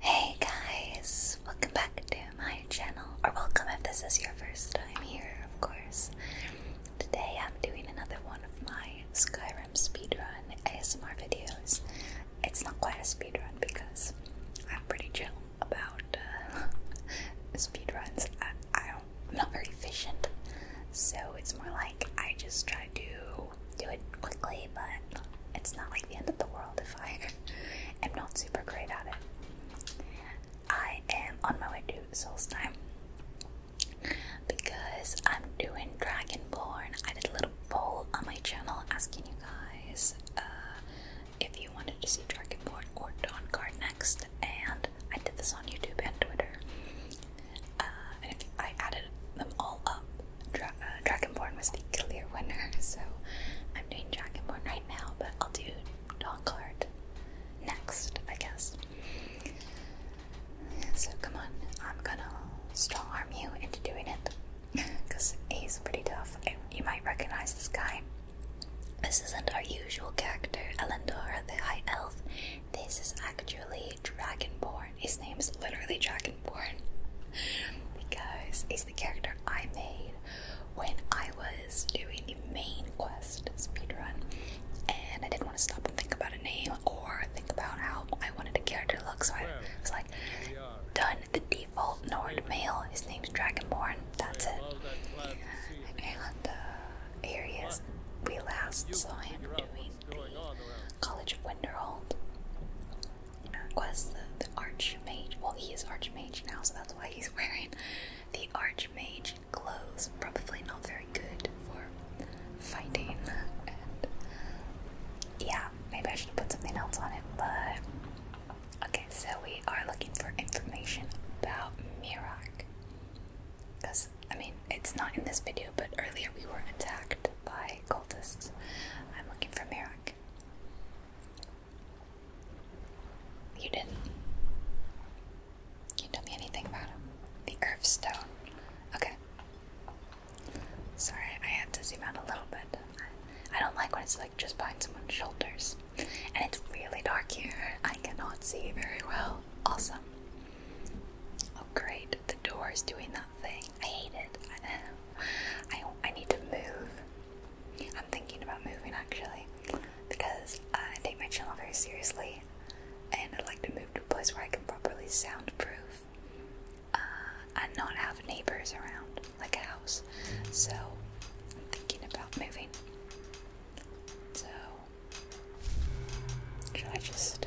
Hey guys, welcome back to my channel, or welcome if this is your first time here, of course. Today I'm doing another one of my Skyrim speedrun ASMR videos. It's not quite a speedrun because I'm pretty chill about uh, speedruns. I don't, I'm not very efficient, so it's more like I just try to do it quickly, but it's not like the end of the world if I am not super great at it. I am on my way to time because I'm doing Dragonborn. I did a little poll on my channel asking you guys uh, if you wanted to see Dragonborn or Dawn Guard next, and I did this on YouTube and Twitter. Uh, and if I added them all up, uh, Dragonborn was the clear winner, so I'm doing Dragonborn right now, but I'll do Donkheart next, I guess. So come on, I'm gonna strongarm you into doing it, because he's pretty tough. You might recognize this guy. This isn't our usual character, Elendora the High Elf. This is actually Dragonborn, his name is literally Dragonborn because he's the character I made when I was doing the main quest speedrun, and I didn't want to stop and think about a name or think about how I wanted the character to look, so I was like, done the default Nord male. His name's Dragonborn. That's it. And uh, here he is. We last saw him doing the College of Winterhold. Quest, the, the Archmage. Well, he is Archmage now, so that's why he's wearing the Archmage clothes. Probably not very good for fighting. And yeah, maybe I should have put something else on it, but. Okay, so we are looking for information about Mirak. Because, I mean, it's not in this video, but earlier we were attacked by cultists. I'm looking for Mirak. You didn't. You tell me anything about him. The Earth Stone. Okay. Sorry, I had to zoom out a little bit. I don't like when it's like just behind someone's shoulders. And it's really dark here. I cannot see very well. Awesome. Oh, great. The door is doing that thing. I hate it. I, I, need to move. I'm thinking about moving actually because I take my channel very seriously and I'd like to move to a place where I can properly soundproof uh, and not have neighbors around, like a house. So I'm thinking about moving. So, should I just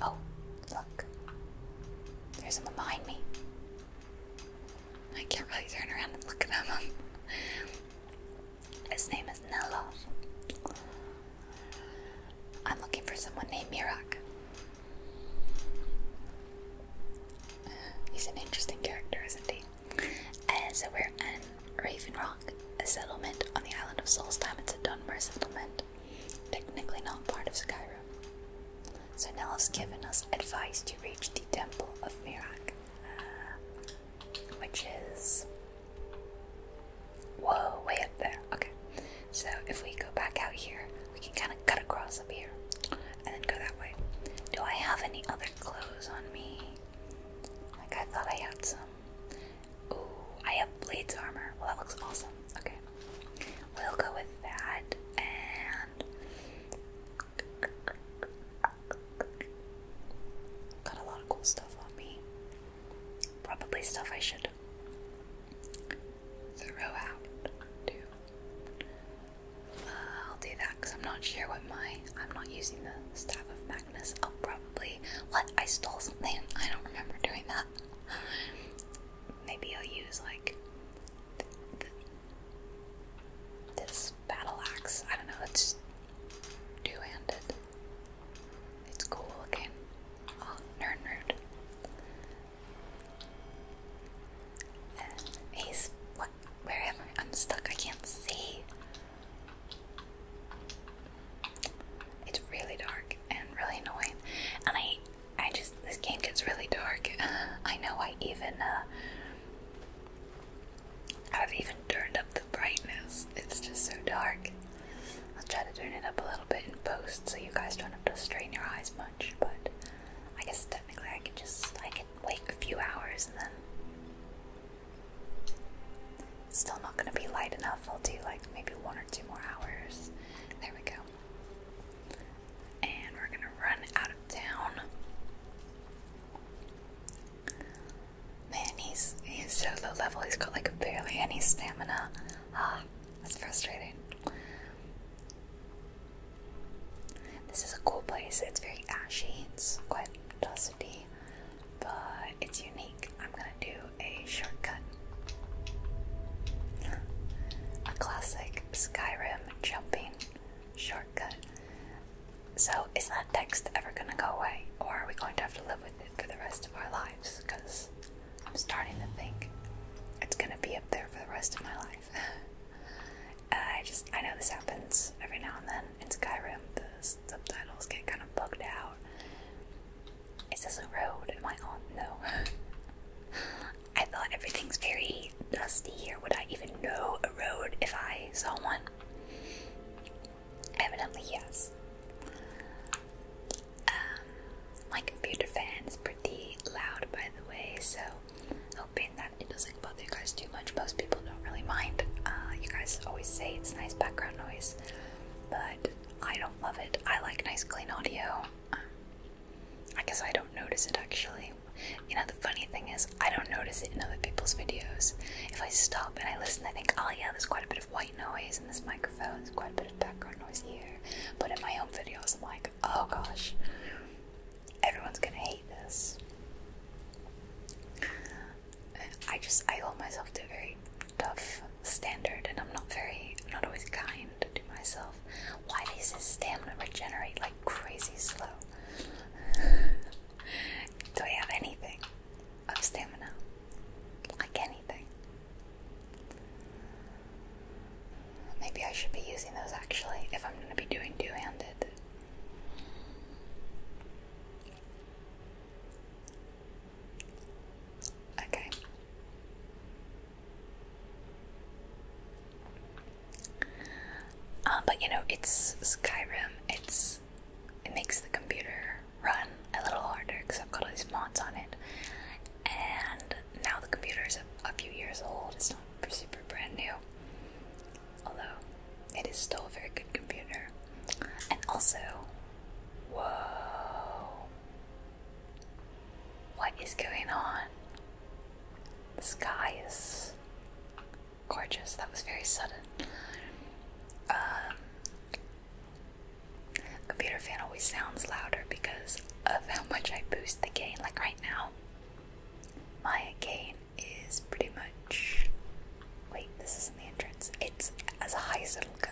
Oh, look. There's someone behind me. I can't really turn around and look at them. His name is Nello. I'm looking for someone named Mirak. He's an interesting character, isn't he? And uh, so we're Raven Rock, a settlement on the island of Solstheim. It's a Dunmer settlement, technically not part of Skyrim. So Nell has given us advice to reach the Temple of Mirak, uh, which is. Whoa, way up there. Okay. So if we go back out here, we can kind of cut across up here and then go that way. Do I have any other clothes on me? Like, I thought I had some. Ooh, I have blades armor. Well, that looks awesome. Okay. We'll go with that. Got a lot of cool stuff on me. Probably stuff I should throw out, uh, I'll do that because I'm not sure what my. I'm not using the staff of bring this probably. What? I stole something? I don't remember doing that. Maybe I'll use like this battle axe. I don't know. It's two handed. It's cool looking. Oh, nerd What? Where am I? I'm stuck. I can't see. It's really dark and really annoying, and I, I just this game gets really dark. I know I even, have uh, even turned up the brightness. It's just so dark. I'll try to turn it up a little bit in post so you guys don't have to strain your eyes much. But I guess technically I can just I could wait a few hours and then it's still not going to be light enough. I'll do like maybe one or two more hours. There we go. And we're going to run out of town. Man, he's he's so low level. He's got like barely any stamina. Ah, that's frustrating. This is a cool place. It's very ashy. It's quite dusty but it's unique. I'm gonna do a shortcut. A classic Skyrim jumping shortcut. So, is that text ever gonna go away, or are we going to have to live with it for the rest of our lives? Because I'm starting to think it's gonna be up there for the rest of my life. I just, I know this happens every now and then in Skyrim. The subtitles get kind of bugged out. Is this a road? Am I on? No. I thought everything's very dusty here. Would I even know a road if I saw one? Evidently, yes. Um, my computer fan is pretty loud, by the way, so hoping that it doesn't bother you guys too much. Most people don't really mind. Uh, you guys always say it's nice background noise, but I don't love it. I like nice, clean audio. I guess I don't notice it actually. You know, the funny thing is, I don't notice it in other people's videos. If I stop and I listen, I think, oh yeah, there's quite a bit of white noise in this microphone, there's quite a bit of background noise here. But in my own videos, I'm like, oh gosh, everyone's gonna hate this. I just I hold myself to a very tough standard, and I'm not very not always kind to myself. Why does stamina regenerate like crazy slow? Do I have anything of stamina? Like anything? Maybe I should be using those actually if I'm gonna be doing two-handed. Okay. Um, but you know, it's Skyrim. It's it makes the computer run a little harder because I've got all these mods on it, and now the computer is a, few years old. It's not super brand new, although it is still a very good computer. And also, whoa. What is going on? The sky is gorgeous. That was very sudden. Um, computer fan always sounds louder because of how much I boost the gain. Like right now, my gain is pretty much. Wait, this isn't the entrance. It's as high as it'll go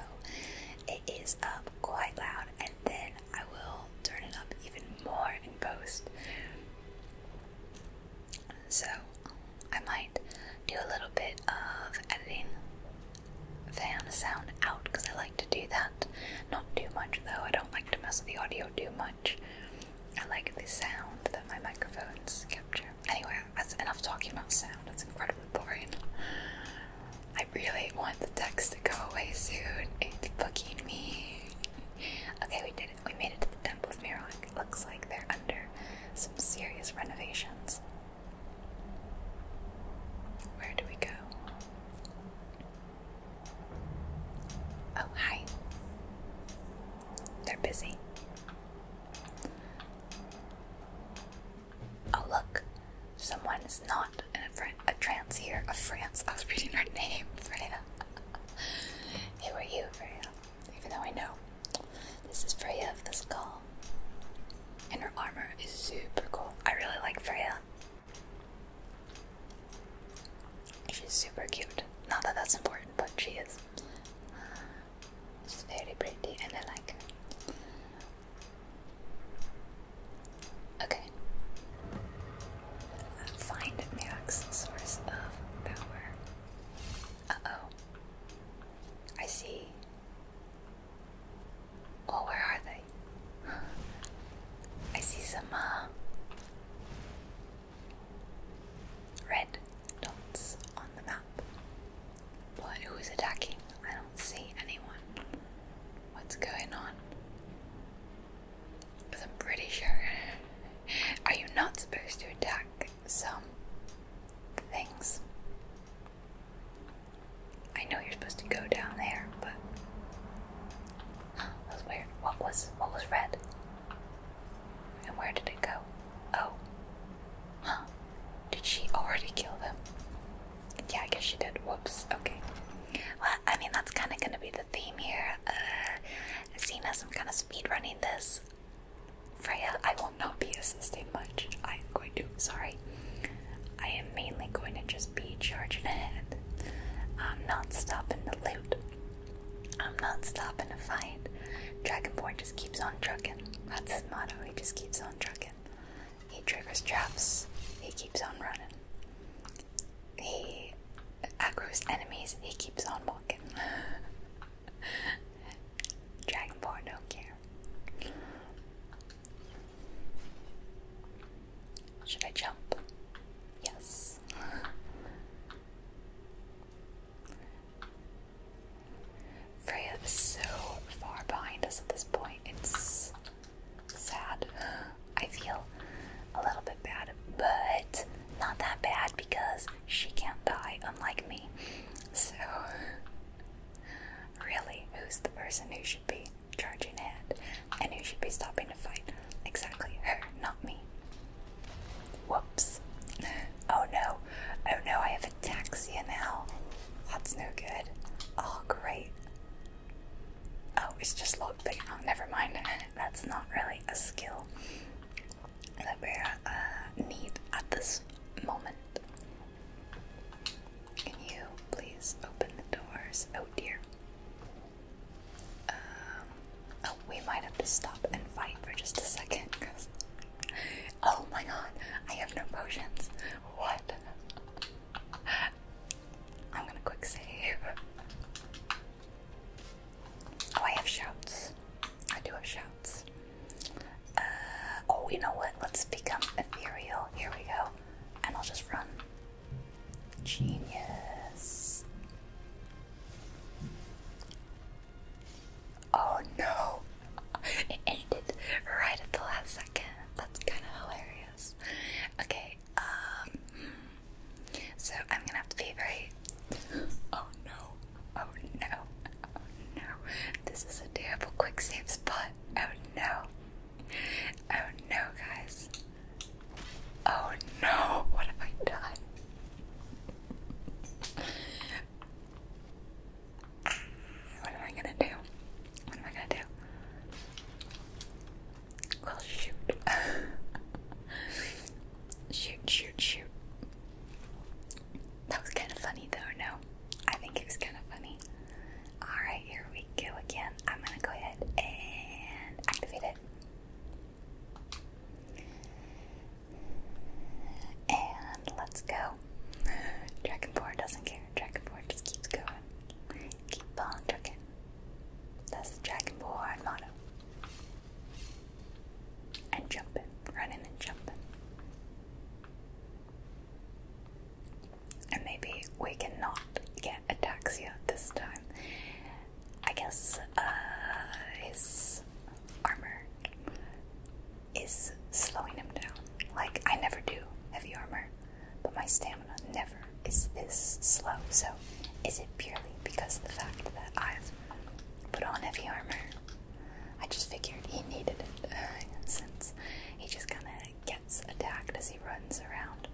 it is up quite loud, and then I will turn it up even more in post. So, I might do a little bit of editing fan sound out because I like to do that. Not too much though, I don't like to mess with the audio too much. I like the sound that my microphones capture. Anyway, that's enough talking about sound. It's incredibly boring. I really want the text to go away soon. It's fucking me. Okay, we did it. We made it to the Temple of Mirok. looks like they're under some serious renovations. Where do we go? Oh, hi. They're busy. Oh look, someone is not in a, Fran a trance here of France. I was reading her name, Freya. Who are you, Freya? Even though I know. This is Freya of the call, And her armor is super cool. I really like Freya. She's super cute. Not that that's important, but she is. very pretty and I like her. Okay. Find Mirak's source of power. Uh-oh. I see. Oh, where are they? I see some, uh, red dots on the map. But who is attacking? I don't see anyone. What's going on? Because I'm pretty sure. Are you not supposed to attack some things? I know you're supposed to go down there, but that was weird. What was what was red? And where did it go? Oh, Huh. Did she already kill them? Yeah, I guess she did. Whoops. Okay. Well, I mean, that's kind of going to be the theme here. Uh, seeing as I'm kind of speedrunning this, Freya, I will not be assisting much. I am going to, sorry. I am mainly going to just be charging ahead. I'm not stopping to loot. I'm not stopping to fight. Dragonborn just keeps on trucking. That's his motto. He just keeps on trucking. He triggers traps. He keeps on running. He aggro's enemies. He keeps on walking. Dragonborn don't care. Should I jump? Yes. Freya is so far behind us at this point. It's sad. I feel a little bit bad, but not that bad because she can't die, unlike me. So, really, who's the person who should be charging ahead and who should be stopping to fight? Exactly her, not me. Whoops. Oh no. Oh no, I have a ataxia now. That's no good. Oh, great. Oh, it's just lockpicking. Oh, never mind. That's not really a skill that we uh, need at this moment. Can you please open the doors? Oh dear. Um, oh, we might have to stop and fight for just a second. oh my god, I have no potions. What? I'm gonna quick save. Oh, I have shouts. I do have shouts. Uh, oh, you know what? Let's become ethereal. Here we go. And I'll just run. Genius. Oh no! it ended right at the last second. That's kind of hilarious. Okay, um, so I'm gonna have to be very. Oh no! Oh no! Oh no! This is a terrible quick save spot. Oh no! Oh no, guys! Oh no! What have I done? What am I gonna do? What am I gonna do? Well, shoot. shoot, shoot, shoot. That was kind of funny, though, no? I think it was kind of funny. Alright, here we go again. I'm gonna go ahead and activate it. And let's go go. Dragonborn doesn't care. Dragonborn just keeps going. Keep on trucking. That's the Dragonborn motto. And jumping, running and jumping. And maybe we cannot get a Ataxia this time. I guess uh, his armor is slowing him down. Like, I never do heavy armor but my stamina never is this slow. So, is it purely because of the fact that I've put on heavy armor? I just figured he needed it since he just kind of gets attacked as he runs around.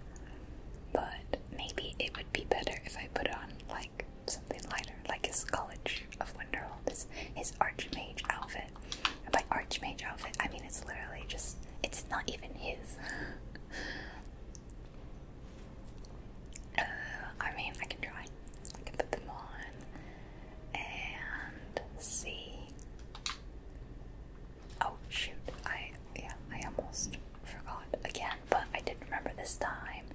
But maybe it would be better if I put on like something lighter, like his College of Wonderworld, his Archmage outfit my Archmage outfit. I mean, it's literally just, it's not even his. Uh, I mean, I can try. I can put them on and see. Oh shoot, I, yeah, I almost forgot again, but I did remember this time.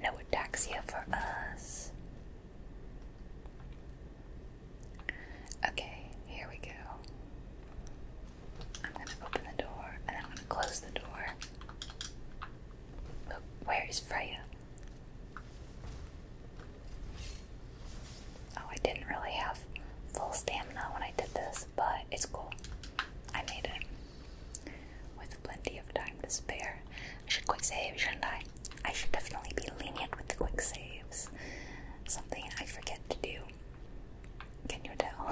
No ataxia for us. Okay, here we go. I'm gonna open the door and I'm gonna close the door. Look, where is Freya? Oh, I didn't really have full stamina when I did this, but it's cool. I made it. With plenty of time to spare. I should quick save, shouldn't I? I should definitely be lenient with the quick saves something I forget to do. Can you tell?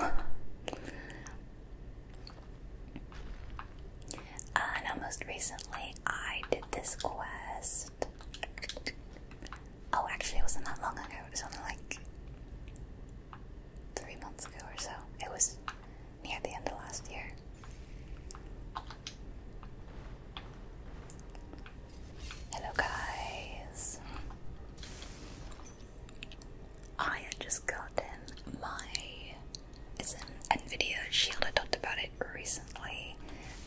uh, most recently, I did this quest. Oh, actually, it wasn't that long ago. It was only like three months ago or so. It was near the end of last year. Hello, guys. I had just gotten my. It's an NVIDIA Shield. I talked about it recently.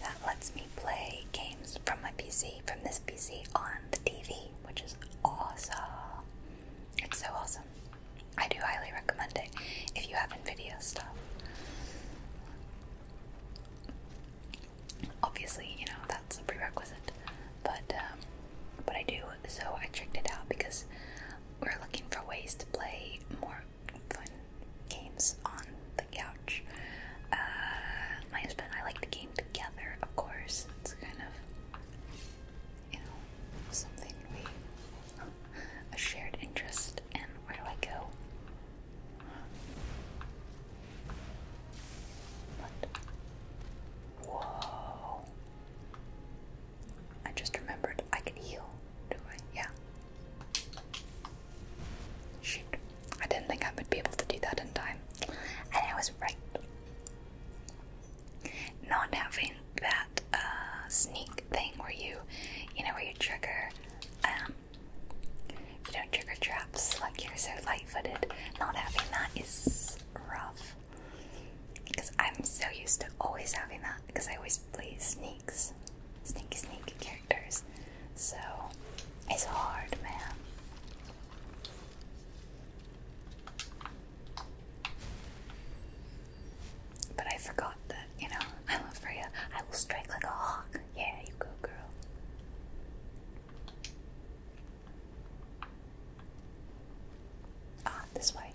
That lets me play games from my PC, from this PC, on the TV, which is awesome. It's so awesome. I do highly recommend it if you have NVIDIA stuff obviously, you know, that's a prerequisite. But um, but I do, so I tricked it out because we're looking for ways to play more fun games on the couch. Uh, my husband and I like to game together, of course. It's kind of, you know, something we, a shared interest. And where do I go? whoa. I just remembered I can heal, do I? Yeah. Shoot. I didn't think I would be able to do that in time. And I was right. Not having that uh, sneak thing where you, you know, where you trigger um, you don't trigger traps like you're so light footed. Not having that is rough. Because I'm so used to always having that because I always play sneaks, sneaky, sneaky characters. So it's hard, man. But I forgot that, you know, I love Freya. I will strike like a hawk. Yeah, you go, girl. Ah, this way.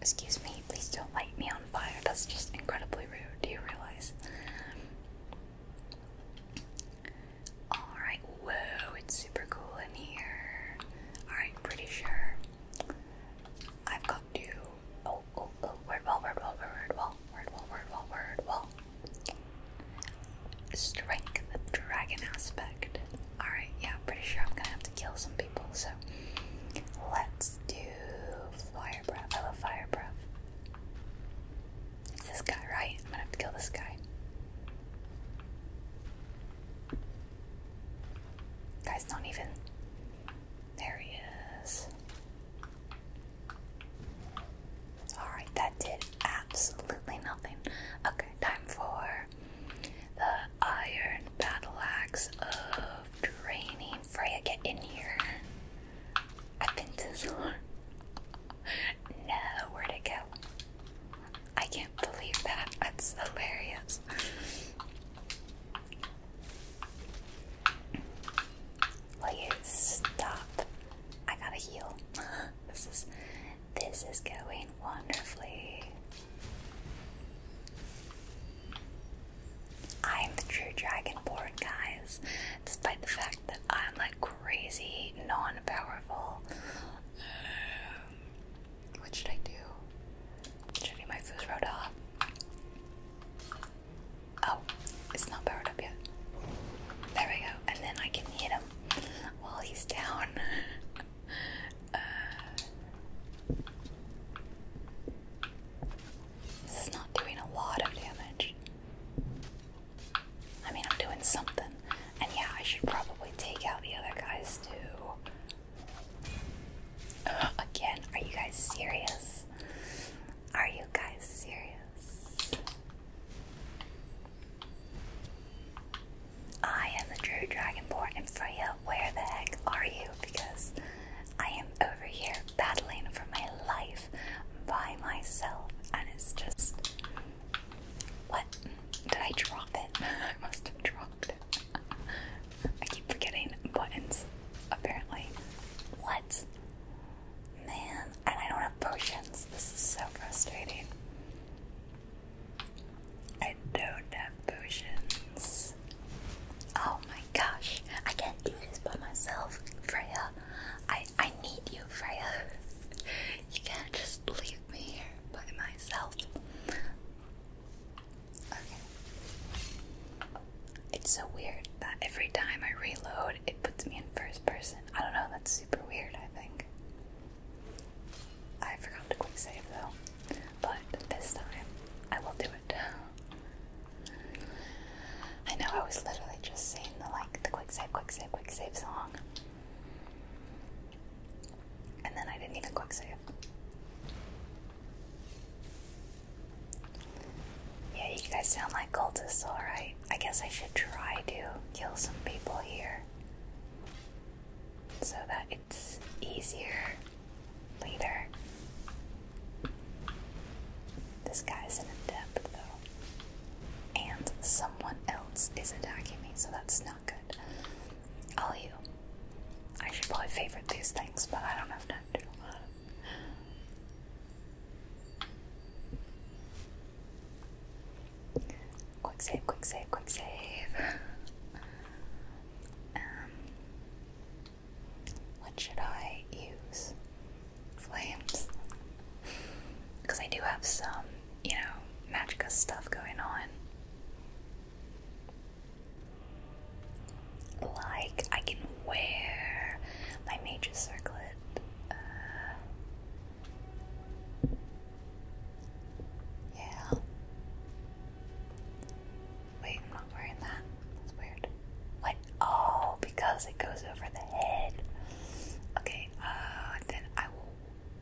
Excuse me, please don't light me on fire. That's just incredibly rude, do you realize? Alright, whoa, it's super cool in here. Alright, pretty sure. I've got to. Oh, oh, oh, word wall, word wall, word wall, word wall, word wall, word wall. Strength dragon aspect. Alright, yeah, pretty sure I'm gonna have to kill some people, so let's do fire breath. I love fire breath. It's this guy, right? I'm gonna have to kill this guy. Guy's not even. There he is. Alright, that did absolutely nothing. Okay, time for the iron battle of draining. Freya, get in here. I've been to No, where go? I can't believe that. That's hilarious. Will stop I gotta heal. this is this is going wonderfully. I'm the true dragonborn, guys. Despite the fact that I'm like crazy non-powerful. Um, what should I do? Should I do my food road off? Oh, it's not powered up yet. There we go. And then I can hit him while he's down. Uh, this is not doing a lot of damage. I mean, I'm doing something. And yeah, I should probably take out the other guys too. Again, are you guys serious? Are you guys serious? I am the true dragonborn, and Freya, where the heck are you? Because I am over here battling for my life by myself, and it's just. What? Did I drop it? I must have dropped I keep forgetting buttons, apparently. What? Man, and I don't have potions. This is so frustrating. I don't have potions. Oh my gosh, I can't do this by myself, Freya. I I need you, Freya. You can't just leave me here by myself. Okay. It's so weird that every time I reload it puts me in first person. I don't know, that's super weird, I think. I forgot to quick save though, but this time I will do it. I know I was literally just saying the like the quick save, quick save, quick save song. And then I didn't even quick save. Yeah, you guys sound like cultists, alright? I guess I should try to kill some people here so that it's easier later. This guy's an depth though. And someone else is attacking me, so that's not good. All you. I should probably favorite these things, but I don't have time to. Quick save, quick save, quick save. um, what should I use? Flames. Because I do have some, you know, Magicka stuff going on. Like, I can wear my Mage's Circlet. Uh, yeah. Wait, I'm not wearing that. That's weird. What? Oh, because it goes over the head. Okay, uh, then I will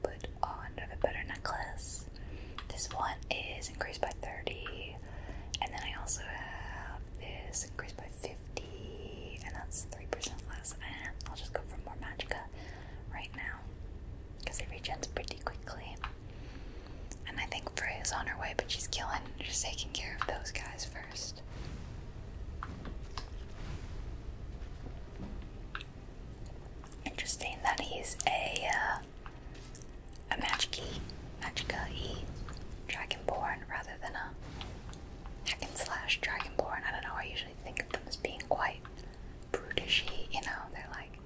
put on a better necklace. This one is increased by 30, and then I also have this increased by 50, and that's 3% less. Eh, I'll just go for more Magicka right now, because it regens pretty quickly. And I think Frey is on her way, but she's killing. Just taking care of those guys first. Interesting that he's a uh, a Magiki, Magicka Dragonborn rather than a hack slash Dragonborn. I don't know. I usually think of them as being quite brutishy, you know, they're like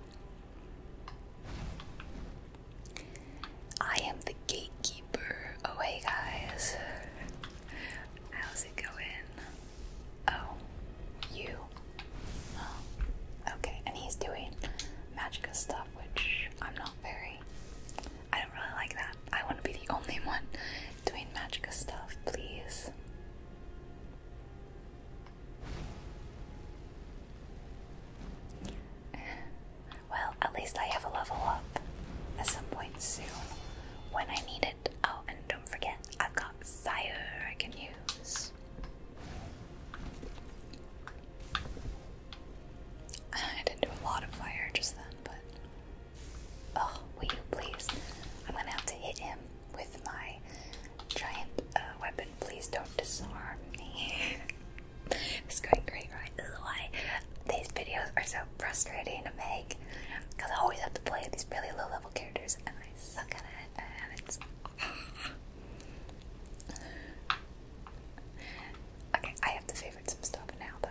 I am the gatekeeper. Oh hey guys. How's it going? Oh, you. Oh, okay, and he's doing magica stuff, which I'm not very. I don't really like that. I want to be the only one doing magica stuff, please. Well, at least I have a level up at some point soon when I need it. Oh, and don't forget, I've got fire I can use. I didn't do a lot of fire just then, but Oh, will you please? I'm gonna have to hit him with my giant uh, weapon. Please don't disarm me. it's going great, right? This is why these videos are so frustrating to make. Because I always have to play these really low level characters and I suck at it and it's. okay, I have to favorite some stuff now though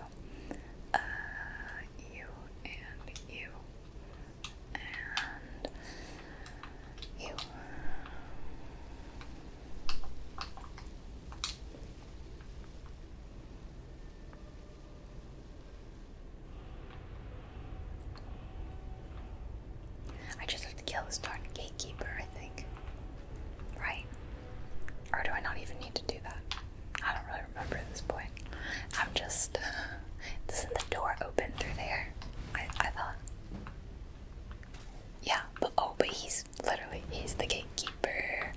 you and you and you. I just have to kill this dark gatekeeper, I think. Right? Or do I not even need to do that? I don't really remember at this point. I'm just. Uh, doesn't the door open through there? I, I thought. Yeah, but oh, but he's literally he's the gatekeeper.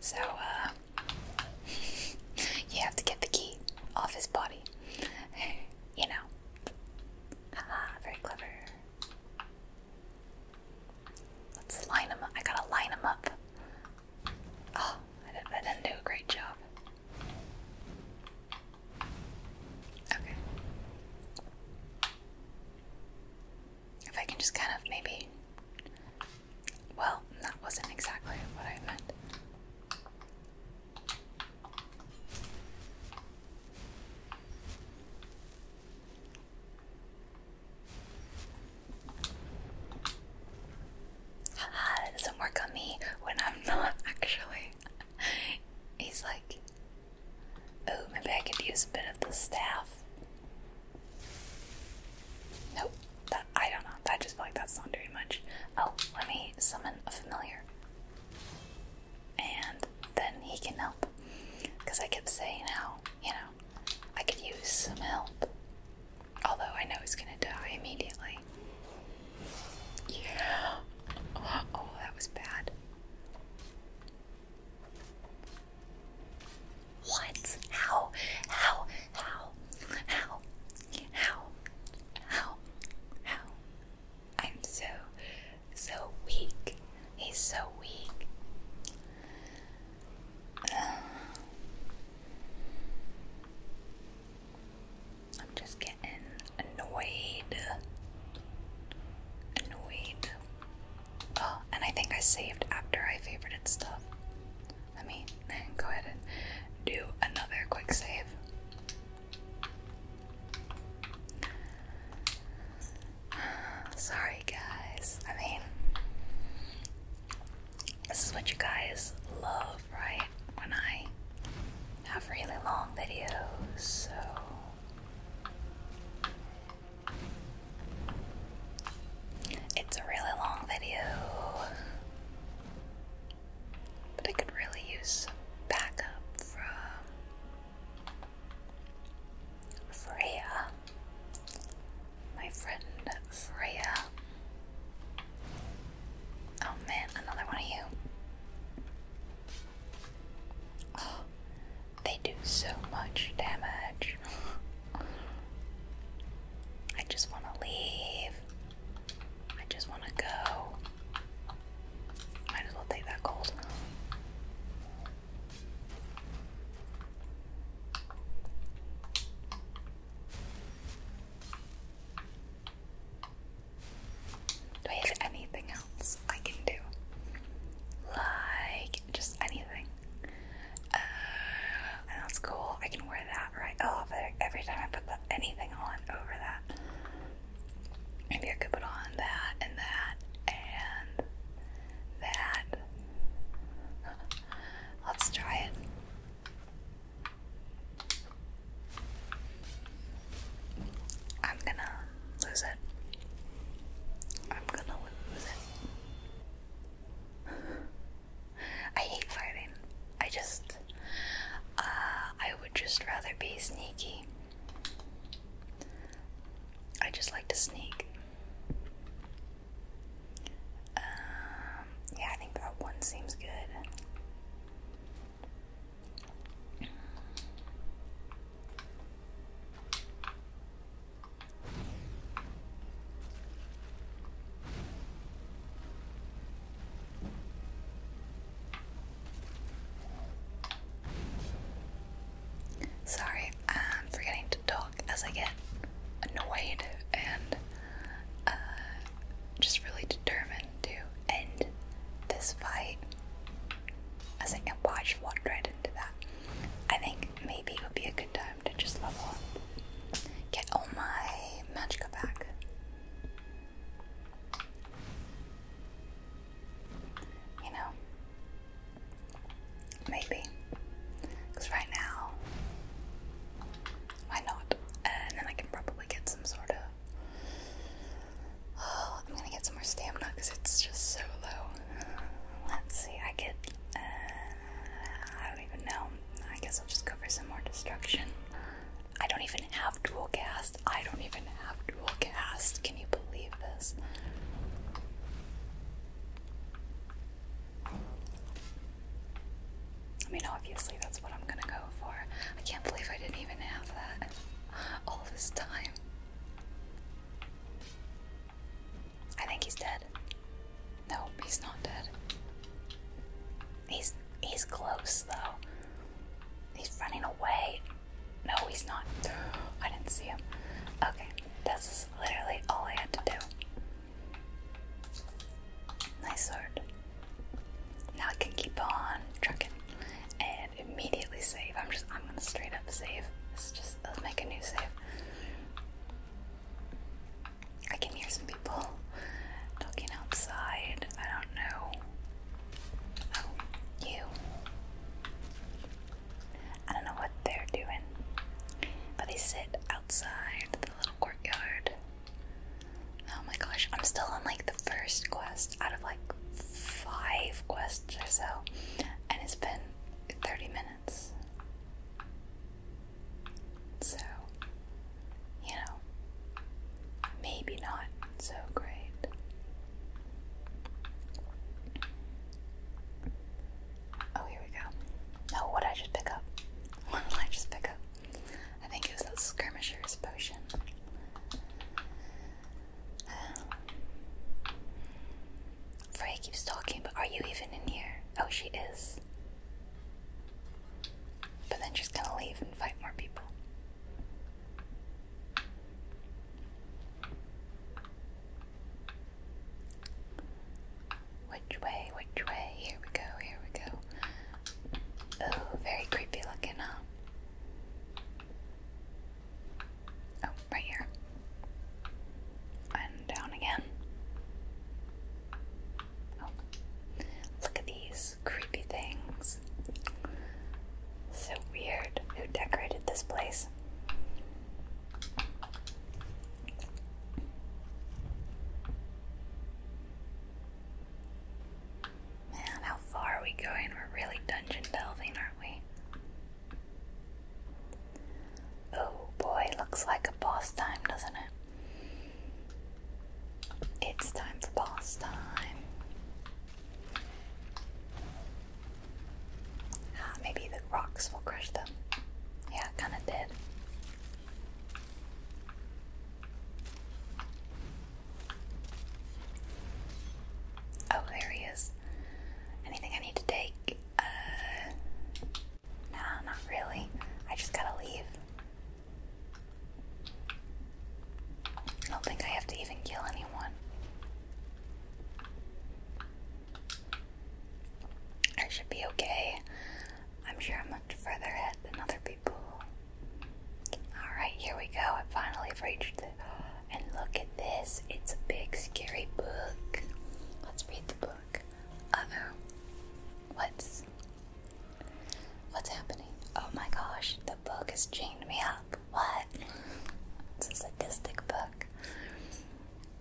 So uh, you have to get the key off his body. You know. Haha, very clever. Let's line him up. I gotta line him up. Oh, I didn't do a great job. Okay. If I can just kind of maybe. Well, that wasn't exactly what I meant. It doesn't work on me when I'm not actually. He's like, oh, maybe I could use a bit of the staff. Nope, that, I don't know. I just feel like that's not doing much. Oh, let me summon a familiar. And then he can help. Because I keep saying how, you know, I could use some help. Although I know he's gonna die immediately. Yeah. Oh, that was bad. What? How? How? How? How? How? How? How? I'm so, so weak. He's so weak. I'm just getting annoyed. Annoyed. Oh, and I think I saved after I favorited stuff. Let me go ahead and do another quick save. Sorry, guys. I mean, this is what you guys love, right? When I have really long videos, so it's a really long video, but I could really use some backup from Freya, my friend Freya. Oh man, another one of you. Oh, they do so much damage. I just want to leave. I just want to go. Might as well take that gold. Do I have anything else I can do? Like, just anything. Uh, that's cool. I can wear that right off oh, every time I put anything on over that. Maybe I could put on that and that and that. Let's try it. I'm gonna lose it. I'm gonna lose it. I hate fighting. I just. Uh, I would just rather be sneaky. I just like to sneak. Um, yeah, I think that one seems good. Sorry, I'm forgetting to talk as I get annoyed and uh, just really determined to end this fight as I can watch walk right into that. I think maybe it would be a good time to just level up. Get all my magicka back. You know? Maybe. Because right now why not? And then I can probably get some sort of. I'm gonna get some more stamina because it's just so low. Let's see, I get. Uh, I don't even know. I guess I'll just go for some more destruction. I don't even have dual cast. I don't even have dual cast. Can you believe this? I mean, obviously, that's what I'm gonna go for. I can't believe I didn't even have that all this time. I think he's dead. No, he's not dead. He's he's close though. He's running away. No, he's not. I didn't see him. Okay, this is literally all I had to do. Nice sword. Now I can keep on trucking and immediately save. I'm just I'm gonna straight up save. Let's just make a new save. I can hear some people talking outside. I don't know. Oh, you. I don't know what they're doing, but they sit outside the little courtyard Oh my gosh, I'm still on like the first quest out of like five quests or so, and it's been 30 minutes. So, you know, maybe not so great. Oh, here we go. Oh, what did I just pick up? What did I just pick up? I think it was the skirmisher's potion. Um, Frey keeps talking, but are you even in here? Oh, she is. But then she's gonna leave and fight more people. Which way? Which way? Here we go, here we go. Oh, very creepy looking, huh? Oh, right here. And down again. Oh, look at these creepy things. So weird. Who decorated this place? Man, how far are we going? We're really dungeon delving, aren't we? Oh boy, looks like a boss time, doesn't it? It's time for boss time. Ah, maybe the rocks will crush them. Yeah, kinda did. Oh, there he is. Anything I need to take? Uh, not really. I just gotta leave. I don't think I have to even kill anyone. I should be okay. I'm sure I'm further ahead than other people. Alright, here we go. I finally reached it. And look at this. It's a big, scary book. Let's read the book. oh. What's. What's happening? Oh my gosh, the book has chained me up. What? It's a sadistic book.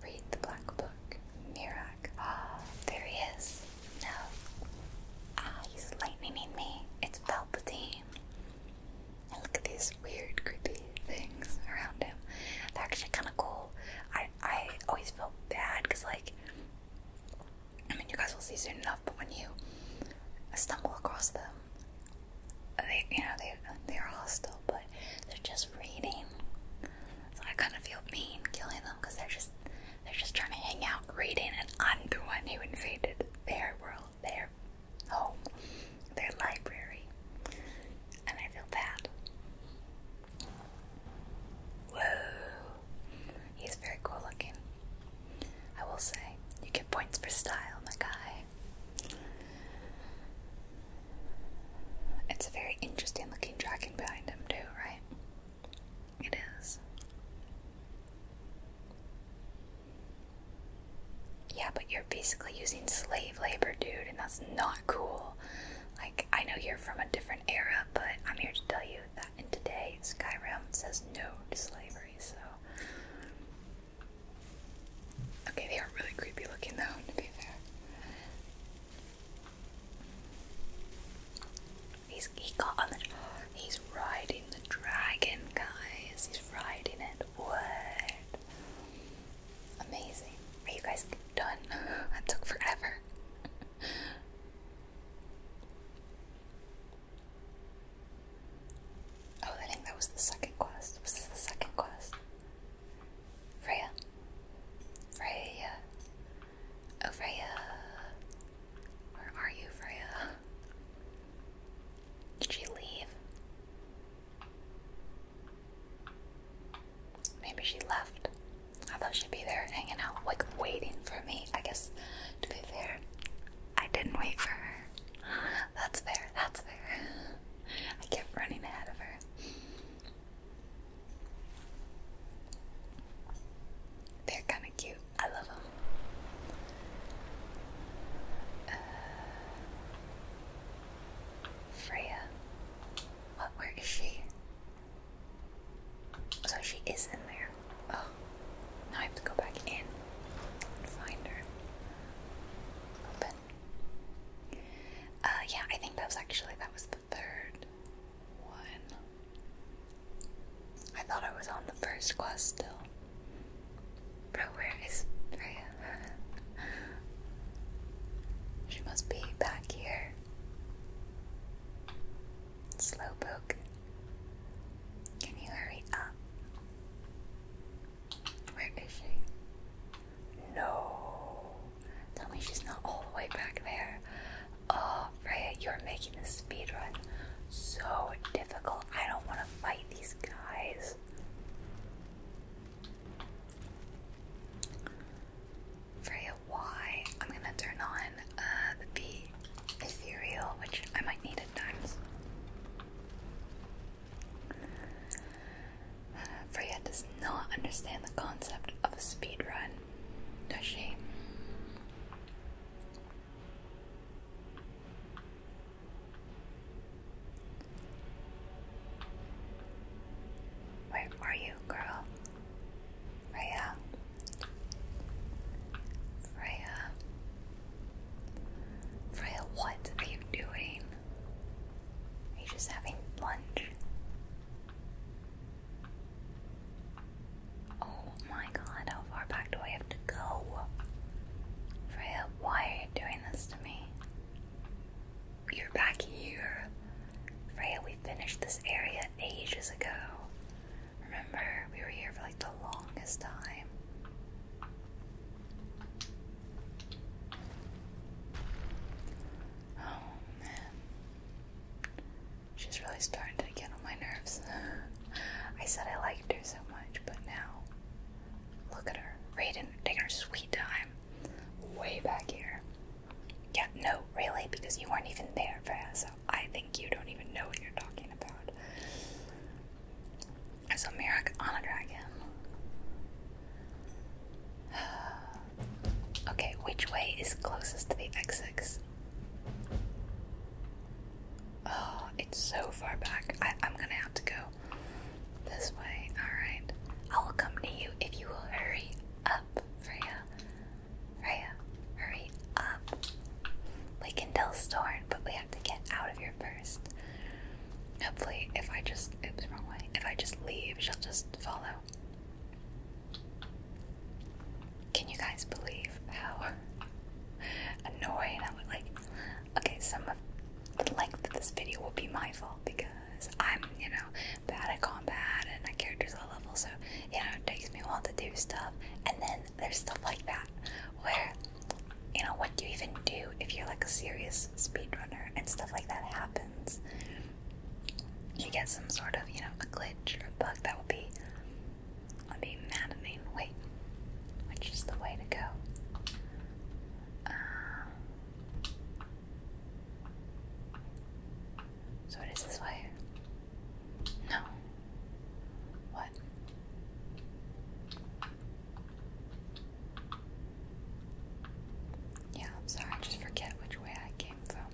Read the black book. Mirak. Ah, there he is. No. Ah, he's lightning me. It's Palpatine. And look at these weird, creepy things around him. They're actually kind of cool. I, I always feel bad because, like, I mean, you guys will see soon enough, but when you stumble across them, they, you know, they, they are hostile, but they're just reading. So I kind of feel mean killing them because they're just they're just trying to hang out, reading, and I'm the one who invaded their world, their home, their library. And I feel bad. Whoa. He's very cool looking. I will say, you get points for style, my guy. It's a very interesting looking dragon behind him, too, right? It is. Yeah, but you're basically using slave labor, dude, and that's not cool. Like, I know you're from a different era, but I'm here to tell you that in today's Skyrim says no to slavery, so. Okay, they are really creepy looking, though, to be fair. He's he got on the. He's riding the dragon, guys. He's riding it. What? Amazing. Are you guys done? that took forever. oh, I think that was the second quest. Was this the second quest? Freya? Freya. Oh, Freya. Where are you, Freya? Did she leave? Maybe she left. I thought she'd be there hanging out, like waiting for me. I guess, to be fair, I didn't wait for her. That's fair, that's fair. I kept running ahead of her. They're kind of cute. I love them. Uh, Freya. Where is she? So she is in there. Oh, now I have to go back in find her. Open. Uh, yeah, I think that was actually that was the third one. I thought I was on the first quest still. Bro, where is Freya? she must be back here. Slowpoke. Can you hurry up? Where is she? No. Tell me she's not all the way back there. Oh, Freya, you're making speed run so difficult. I don't want to fight these guys. Freya, why? I'm gonna turn on uh, the B ethereal, which I might need at times. Uh, Freya does not understand the concept of a speed run, does she? Where are you, girl? Freya. Freya. Freya, what are you doing? Are you just having lunch? Oh my god, how far back do I have to go? Freya, why are you doing this to me? You're back here. Freya, we finished this area ages ago. Remember, we were here for like the longest time. Oh man. She's really starting to get on my nerves. I said I liked her so much, but now look at her. Raiden taking her sweet time. Way back here. Yeah, no, really, because you weren't even there, Freya, so I think you don't even know what you're talking about. I saw Merrick on a dragon. okay, which way is closest to the exit? Oh, it's so far back. I, I'm gonna have to go this way. Alright. I will come to you if you will hurry up, Freya. Freya, hurry up. We can tell Storm, but we have to get out of here first. Hopefully, if I just. Oops, wrong way. If I just leave, she'll just follow. Can you guys believe how annoying I am Like, okay, some of the length of this video will be my fault because I'm, you know, bad at combat and my character's low level, so you know, it takes me a while to do stuff. And then there's stuff like that where, you know, what do you even do if you're like a serious speedrunner and stuff like that happens? You get some sort of, you know, a glitch or a bug that will be I'm being mad Wait, which is the way to go? Uh, so it is this way? No. What? Yeah, sorry, I just forget which way I came from.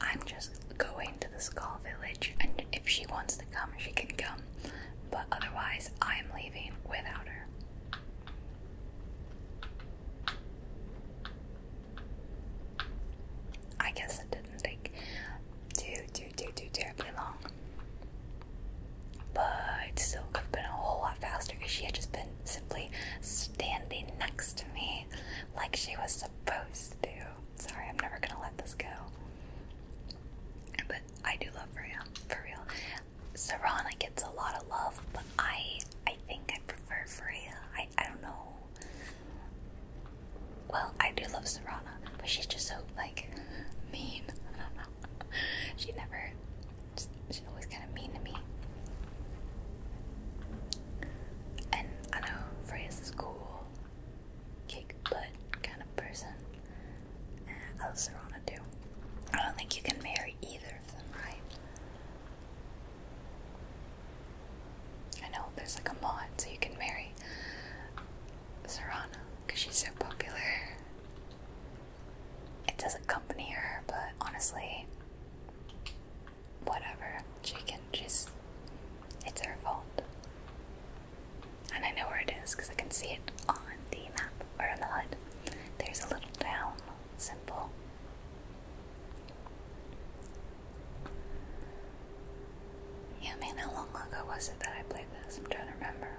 I'm just going to the Skull Village, and if she wants to come, she can come. But otherwise, I'm leaving without her. I guess it didn't take too, too, too, too terribly long. But still could have been a whole lot faster because she had just been simply standing next to me like she was supposed to. Sorry, I'm never gonna let this go. But I do love Freya, for real. Serana gets a lot of love, but I I think I prefer Freya. I I don't know. Well, I do love Serana, but she's just so like mean. I don't know. She never she's always kinda mean to me. And I know Freya's cool kick butt kind of person. Uh, Alcerona too. I don't think you can marry either of them, right? I know there's like a mod, so you can marry Serana because she's so popular. It doesn't company her, but honestly, whatever. She can just. It's her fault. And I know where it is because I can see it on the map or on the HUD. There's a little town symbol. Yeah, mean, how long ago was it that I played this? I'm trying to remember.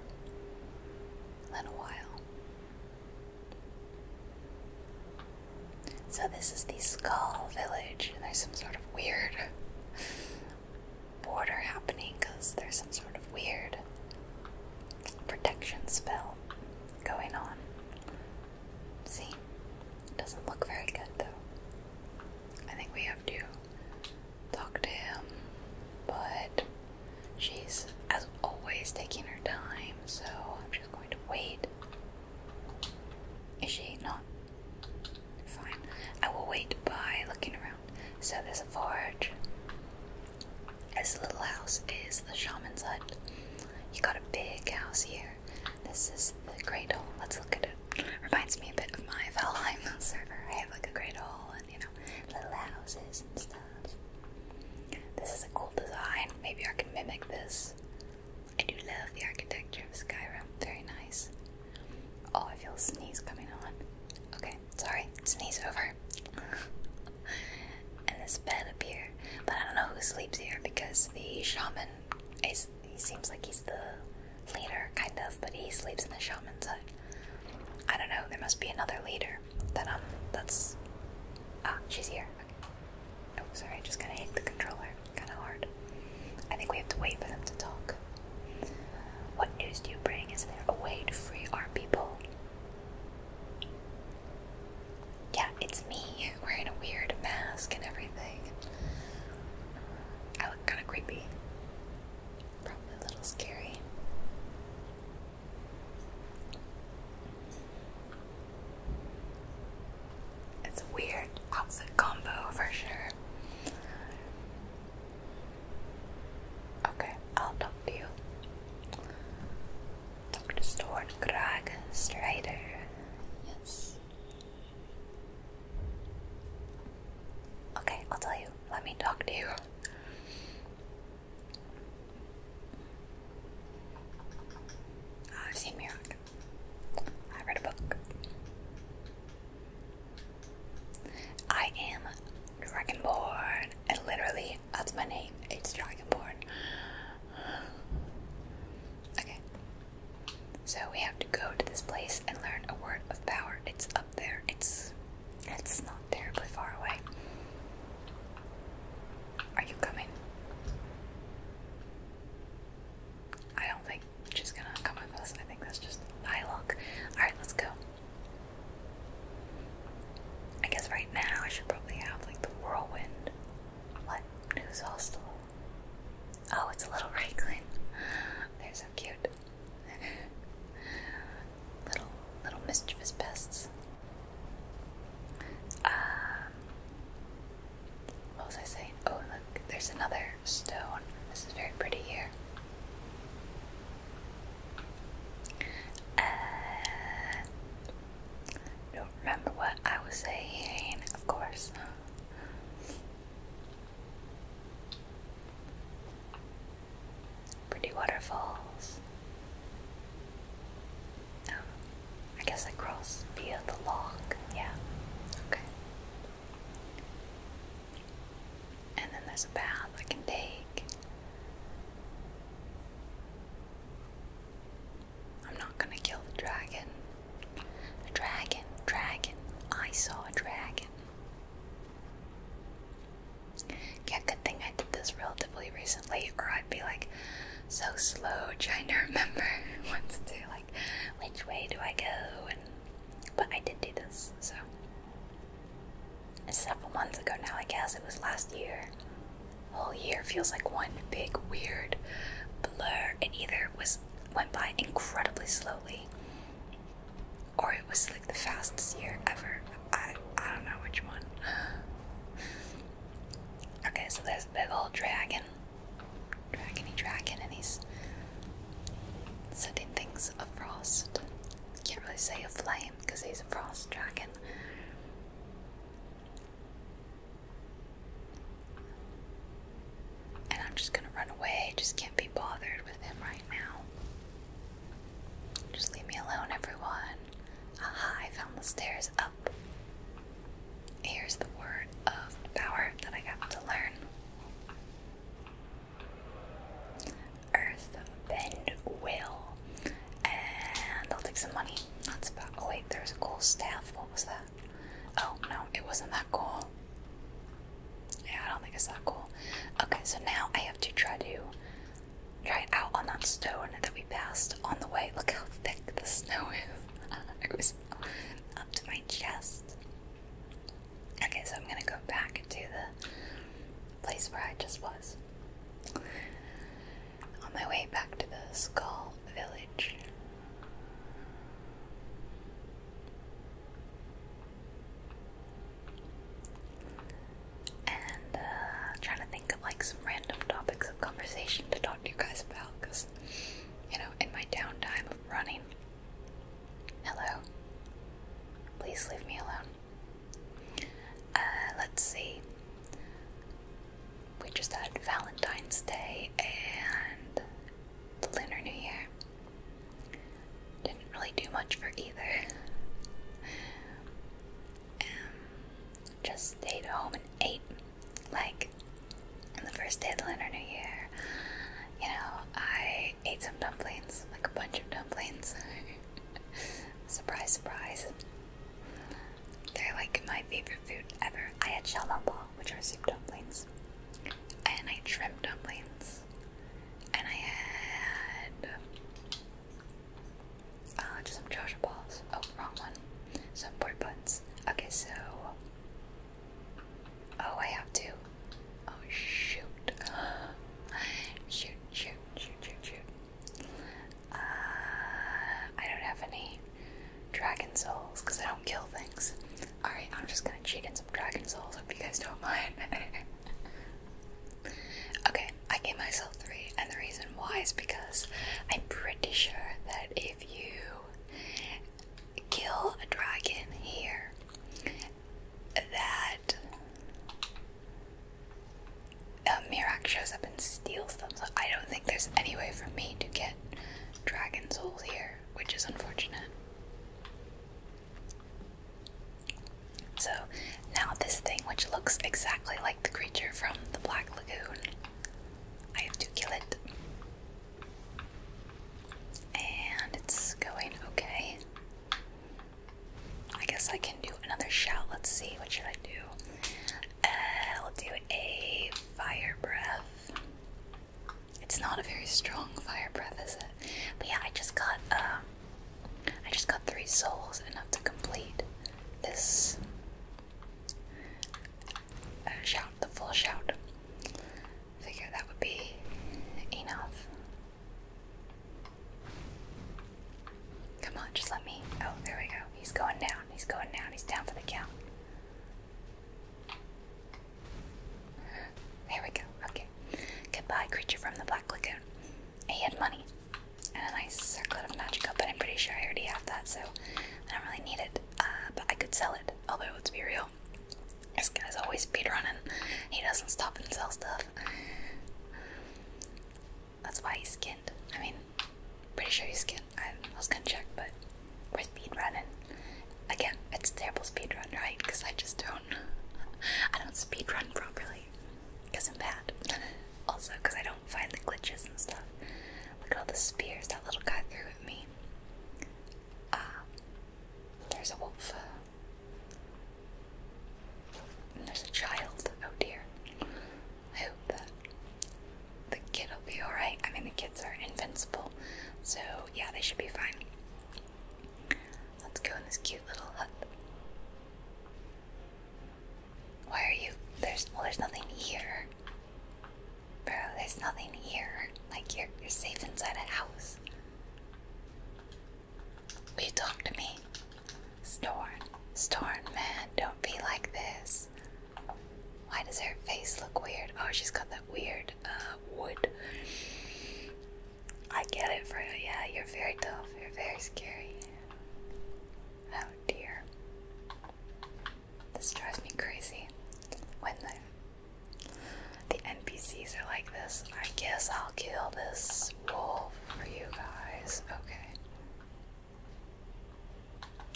A while. So this is the Skull Village, and there's some sort of weird border happening because there's some sort of weird protection spell going on. See? Doesn't look very good though. I think we have to talk to him, but she's, as always, taking her time, so I'm just going to wait. Is she not Fine. I will wait by looking around. So there's a forge. This little house is the shaman's hut. You got a big house here. This is the cradle. Let's look at it. Reminds me a bit of my Valheim server. I have like a cradle and you know little houses and stuff. This is a cool design. Maybe I can mimic this. I do love the architecture of Skyrim. Very nice. Oh, I feel a sneeze coming on. Okay, sorry, sneeze over. and this bed up here, but I don't know who sleeps here because the shaman is, he seems like he's the leader, kind of, but he sleeps in the shaman's hut. I don't know, there must be another leader that, um, that's. Ah, she's here. Oh, sorry, I just gotta hit the controller. Kind of hard. I think we have to wait for them to talk. What news do you bring? Is there a way to free our people? Yeah, it's me wearing a weird mask and everything. I look kind of creepy. Probably a little scary. It's a weird outfit combo for sure. Okay, I'll talk to you. Dr. Stuart Greg Strider. Yes. Okay, I'll tell you. Let me talk to you. Ah, I've seen Mirok. I read a book. I am Dragonborn, and literally that's my name. It's Dragonborn. Okay. So we have to go to this place and learn a word of power. It's up there. It's it's not terribly far away. Are you coming? I don't think She's gonna come with us. I think that's just my look. Alright, let's go. I guess right now I should probably have like the whirlwind. What? News hostel. Oh, it's a little Reiglin. They're so cute. little little mischievous pests. Um, what was I saying? Oh look, there's another stone. This is very pretty here. Uh, don't remember what I was saying, of course. Pretty waterfalls. Oh, I guess I cross via the log. Yeah. Okay. And then there's a bath I can take. I'm not gonna kill the dragon. The dragon, dragon. I saw a dragon. Yeah, good thing I did this relatively recently, or I'd be like so slow trying to remember what to do. Like, which way do I go? But I did do this, so. several months ago now, I guess. It was last year. whole year feels like one big, weird blur. And either was went by incredibly slowly, or it was like the fastest year ever. I, I don't know which one. Okay, so there's a big old dragon. Dragony dragon, and he's setting things is a frost. Can't really say a flame because he's a frost dragon. And I'm just gonna run away. Just can't be bothered with him right now. Just leave me alone, everyone. Aha, I found the stairs up. Here's the word of power that I got to learn. Earth Bend Will. And I'll take some money. That's about. Oh, wait, there's a cool staff. What was that? Oh, no, it wasn't that cool. Yeah, I don't think it's that cool. Okay, so now I have to try to try it out on that stone that we passed on the way. Look how thick the snow is. it was up to my chest. Okay, so I'm gonna go back to the place where I just was. On my way back to the Skull Village. And uh, trying to think of like some random topics of conversation to talk to you guys about because, you know, in my downtime of running, Hello. Please leave me alone. Uh, let's see. We just had Valentine's Day and the Lunar New Year. Didn't really do much for either. Um, just stayed home and ate. Like, on the first day of the Lunar New Year, you know, I ate some dumplings, like a bunch of dumplings. surprise, surprise. They're like my favorite food ever. I had shalamba, which are soup dumplings, and I shrimp dumplings, and I had uh, just some Joshua balls. Oh, wrong one. Some pork buns. Okay, so Oh, I have to. Oh, shoot. shoot, shoot, shoot, shoot, uh, I don't have any dragon souls because I don't kill things. Alright, I'm just gonna cheat in some dragon souls. if you guys don't mind. okay, I gave myself three, and the reason why is because I'm pretty sure that if you kill a dragon here that uh, um, Mirak shows up and steals them. So I don't think there's any way for me to get dragon souls here, which is unfortunate. So now this thing, which looks exactly like the creature from the Black Lagoon, I have to kill it. And it's going okay. I guess I can do another shout. Let's see, what should I do? I'll uh, do a fire breath. It's not a very strong fire breath, is it? But yeah, I just got um, I just got three souls enough to complete this uh, shout, the full shout figure that would be enough. Come on, just let me. Oh, there we go. He's going down. He's going down. He's down for the count. There we go. Okay. Goodbye, creature from the Black Lagoon. He had money and a nice circlet of magic but I'm pretty sure I already have that, so I don't really need it. Uh, but I could sell it, although let's be real, this guy's always speed running. He doesn't stop and sell stuff. That's why he's skinned. I mean, pretty sure he's skinned. I was gonna check, but we're speed running Again, it's terrible speed running, right? Because I just don't. I don't speed run properly. Because I'm bad. also, because I don't find the glitches and stuff. Look at all the spears that little guy threw at me. Ah. There's a wolf. there's a child. Oh dear. I hope that the kid will be alright. I mean, the kids are invincible, so yeah, they should be fine. Let's go in this cute little hut. Why are you? There's well, there's nothing here, bro. There's nothing here. Like you're you're safe inside a house. Will you talk to me? Storn, Storn, man, don't be like this. Why does her face look weird? Oh, she's got that weird uh, wood. I get it, for yeah, you're very tough, you're very scary. Oh dear. This drives me crazy. When the the NPCs are like this. I guess I'll kill this wolf for you guys. Okay.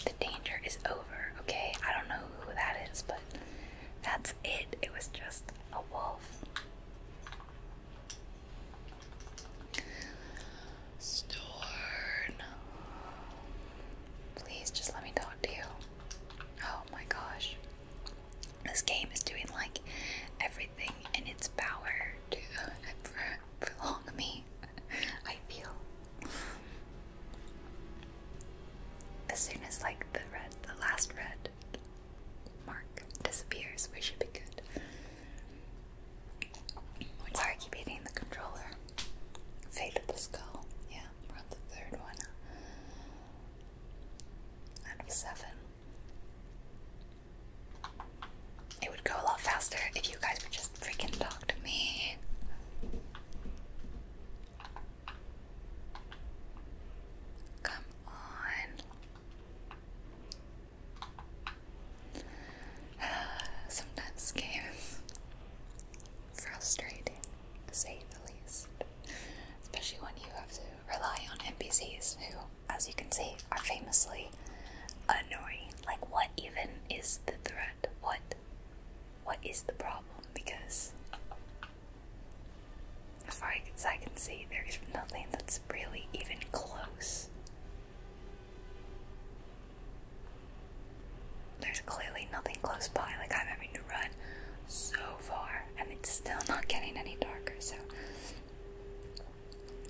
The danger is over, okay? I don't know who that is, but that's it. It was just a wolf. Storn. Please just let me talk to you. Oh my gosh. This game is doing like every and its power to prolong me, I feel. As soon as like the red, the last red mark disappears, we should be good. I keep hitting the controller. Fate of the skull. Yeah, we're on the third one. seven. It would go a lot faster if you guys would just freaking talk to me. Come on. Sometimes games frustrating, to say the least. Especially when you have to rely on NPCs who as you can see, are famously annoying. Like, what even is the threat? What? What is the problem? Because, as far as I can see, there is nothing that's really even close. There's clearly nothing close by. Like, I'm having to run so far, and it's still not getting any darker, so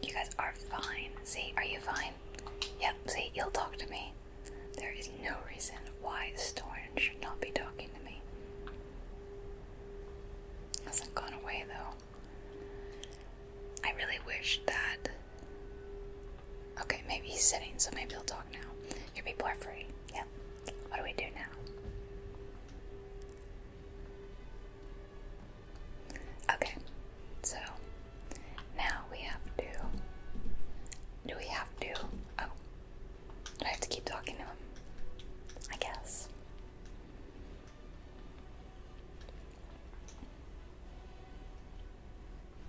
you guys are fine. See, are you fine? Yep, see, you'll talk to me. There is no reason why Storn should not be talking to me. Hasn't gone away though. I really wish that. Okay, maybe he's sitting, so maybe he'll talk now. Your people are free. Yep. What do we do now? Okay, so now we have to. Do we have to? Oh, do I have to keep talking to him? I guess.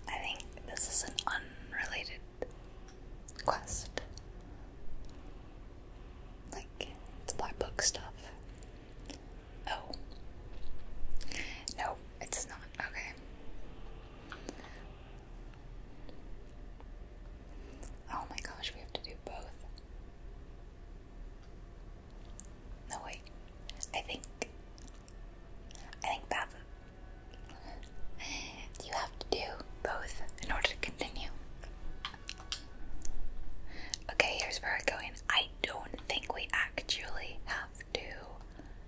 I think this is an unrelated quest like it's black book stuff. Oh. No, it's not. Okay. Oh my gosh, we have to do both. No wait. I think I think that's you have to do both in order to continue. Okay, here's where we going. I don't think we actually have to.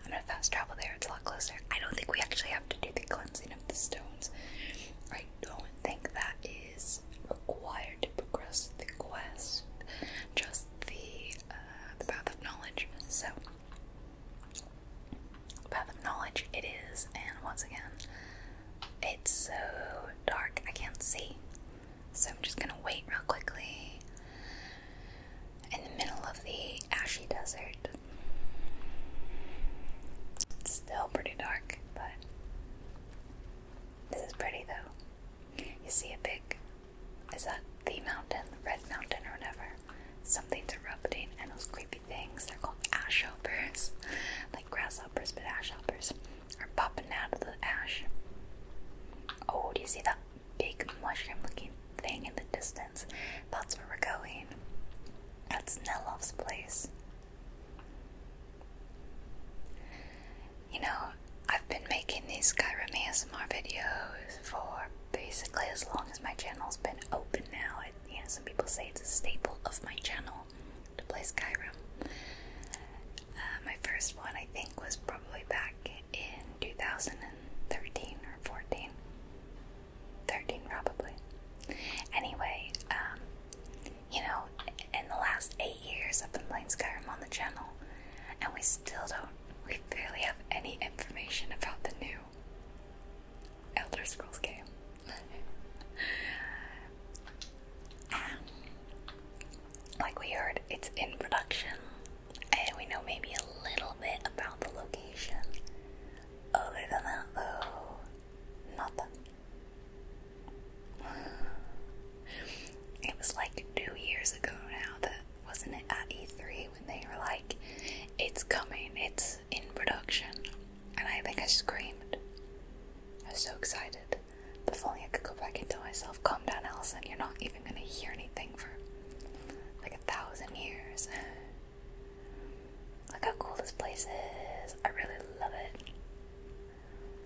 I'm gonna fast travel there, it's a lot closer. I don't think we actually have to do the cleansing of the stones. I don't think that is required to progress the quest, just the, uh, the path of knowledge. So, path of knowledge it is, and once again, it's so dark, I can't see. So I'm just gonna wait real quickly in the middle of the ashy desert. It's still pretty dark, but this is pretty though. You see a big is that the mountain, the red mountain or whatever? Something's erupting and those creepy things. They're called ash hoppers. Like grasshoppers, but ash hoppers are popping out of the ash. Oh, do you see that big mushroom looking thing in the distance? That's where we're going. That's Nelov's place. You know, I've been making these Skyrim ASMR videos for basically as long as my channel's been open now. and you know, some people say it's a staple of my channel to play Skyrim. Uh, my first one, I think, was probably back in 2013 or 14. 13, probably. Anyway, um, you know, in the last eight years, I've been playing Skyrim on the channel, and we still don't, we barely have any information about the new Elder Scrolls game. like we heard, it's in production, and we know maybe a little bit about the location. Other than that, though, nothing. It was like two years ago now that wasn't it at E3 when they were like, it's coming, it's in production. And I think I screamed. I was so excited. If only I could go back and tell myself, calm down, Allison, you're not even gonna hear anything for like a thousand years. Look how cool this place is. I really love it.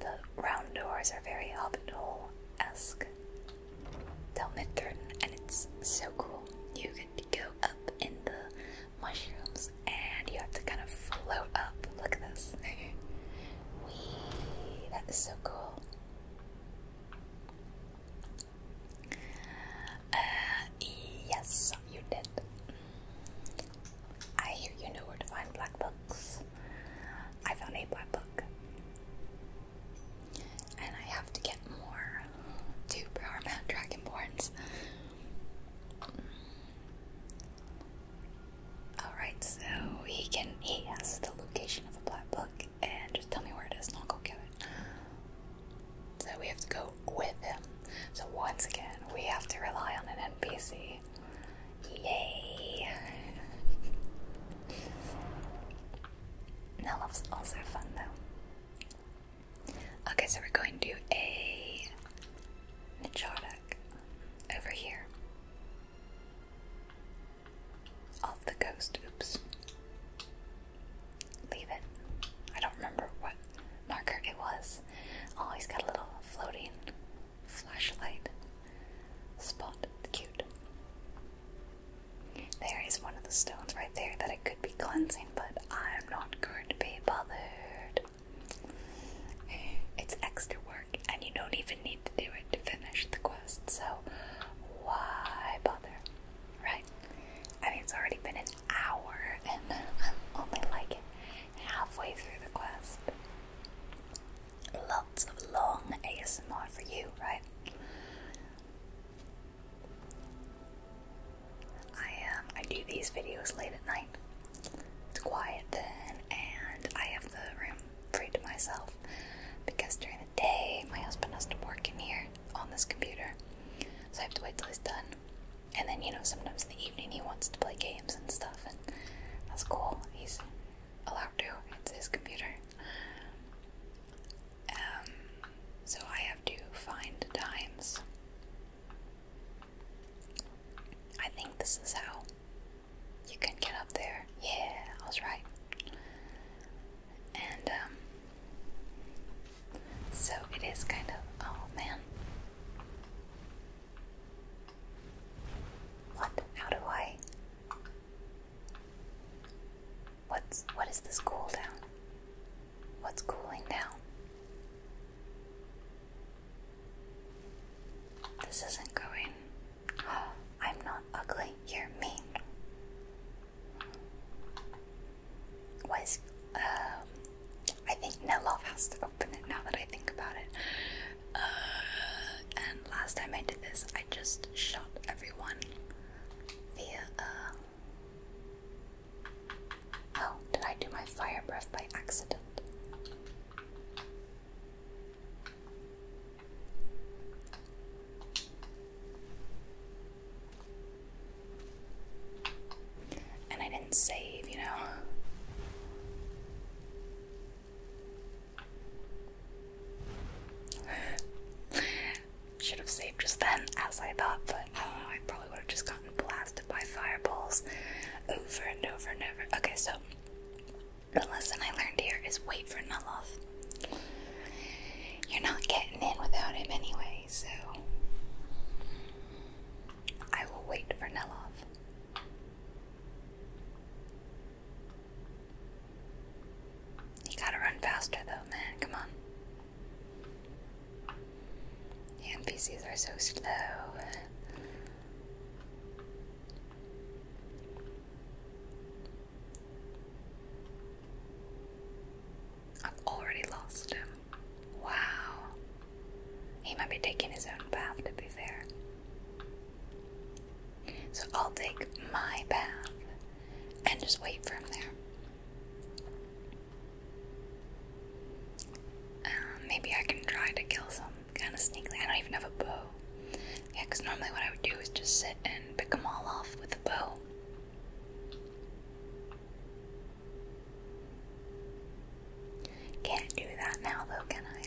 The round doors are very hobbit hole esque. Tell Midthorn, and it's so cool. You get to go up in the mushrooms and you have to kind of float up. Look at this. that is so cool. Uh, yes, you did. I hear you know where to find black books. I found a black book. And I have to get more to Power Mount Dragonborns. Alright, so he can he has the location of a black book and just tell me where it is and I'll go get it. So we have to go with him. So once again, we have to rely on an NPC. Yay! Now love's also fun though. Okay, so we're going to do a Nichotic over here. Off the coast, oops. Leave it. I don't remember what marker it was. Oh, he's got a little floating flashlight spot. Cute. There is one of the stones right there that it could be cleansing, but I'm not going to be bothered. Eh, it's extra work, and you don't even need to do it to finish the quest, so why bother? Right? I mean, it's already been an hour, and I'm only like halfway through the quest. Lots of long ASMR for you, right? I um, I do these videos late at night. It's quiet then, and I have the room free to myself because during the day my husband has to work in here on this computer, so I have to wait till he's done. And then, you know, sometimes in the evening he wants to play games and stuff, and that's cool. He's allowed to, it's his computer. Um, so I have to find times. I think this is how you can get up there. Yeah, I was right. And, um, so it is kind of. Oh man. What? How do I? What's. What is this cool down? What's cooling down? This isn't going. I'm not ugly. You're mean. Why um? I think Nelov has to open it now that I think about it. Uh, and last time I did this, I just shot everyone via. Uh, oh, did I do my fire breath by accident? And I didn't save, you know. Should have saved just then, as I thought, but I uh, I probably would have just gotten blasted by fireballs over and over and over. Okay, so the lesson I learned here is wait for Nuloth. You're not getting in without him anyway, so I will wait for Nelov. You gotta run faster though, man. Come on. The NPCs are so slow. I've already lost him. Wow. He might be taking his own path, to be fair. So I'll take my path and just wait for him there. Uh, maybe I can try to kill someone kind of sneakily. I don't even have a bow. Yeah, because normally what I would do is just sit and pick them all off with a bow. Can't do that now, though, can I?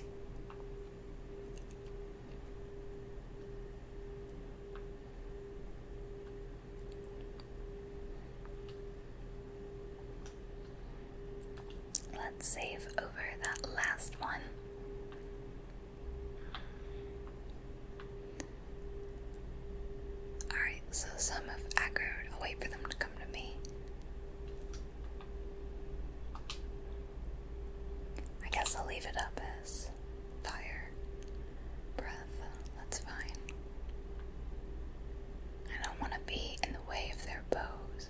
Let's save over that last one. Alright, so some have aggroed. Oh, I'll wait for them to come to me. I guess I'll leave it up as fire, breath. That's fine. I don't want to be in the way of their bows.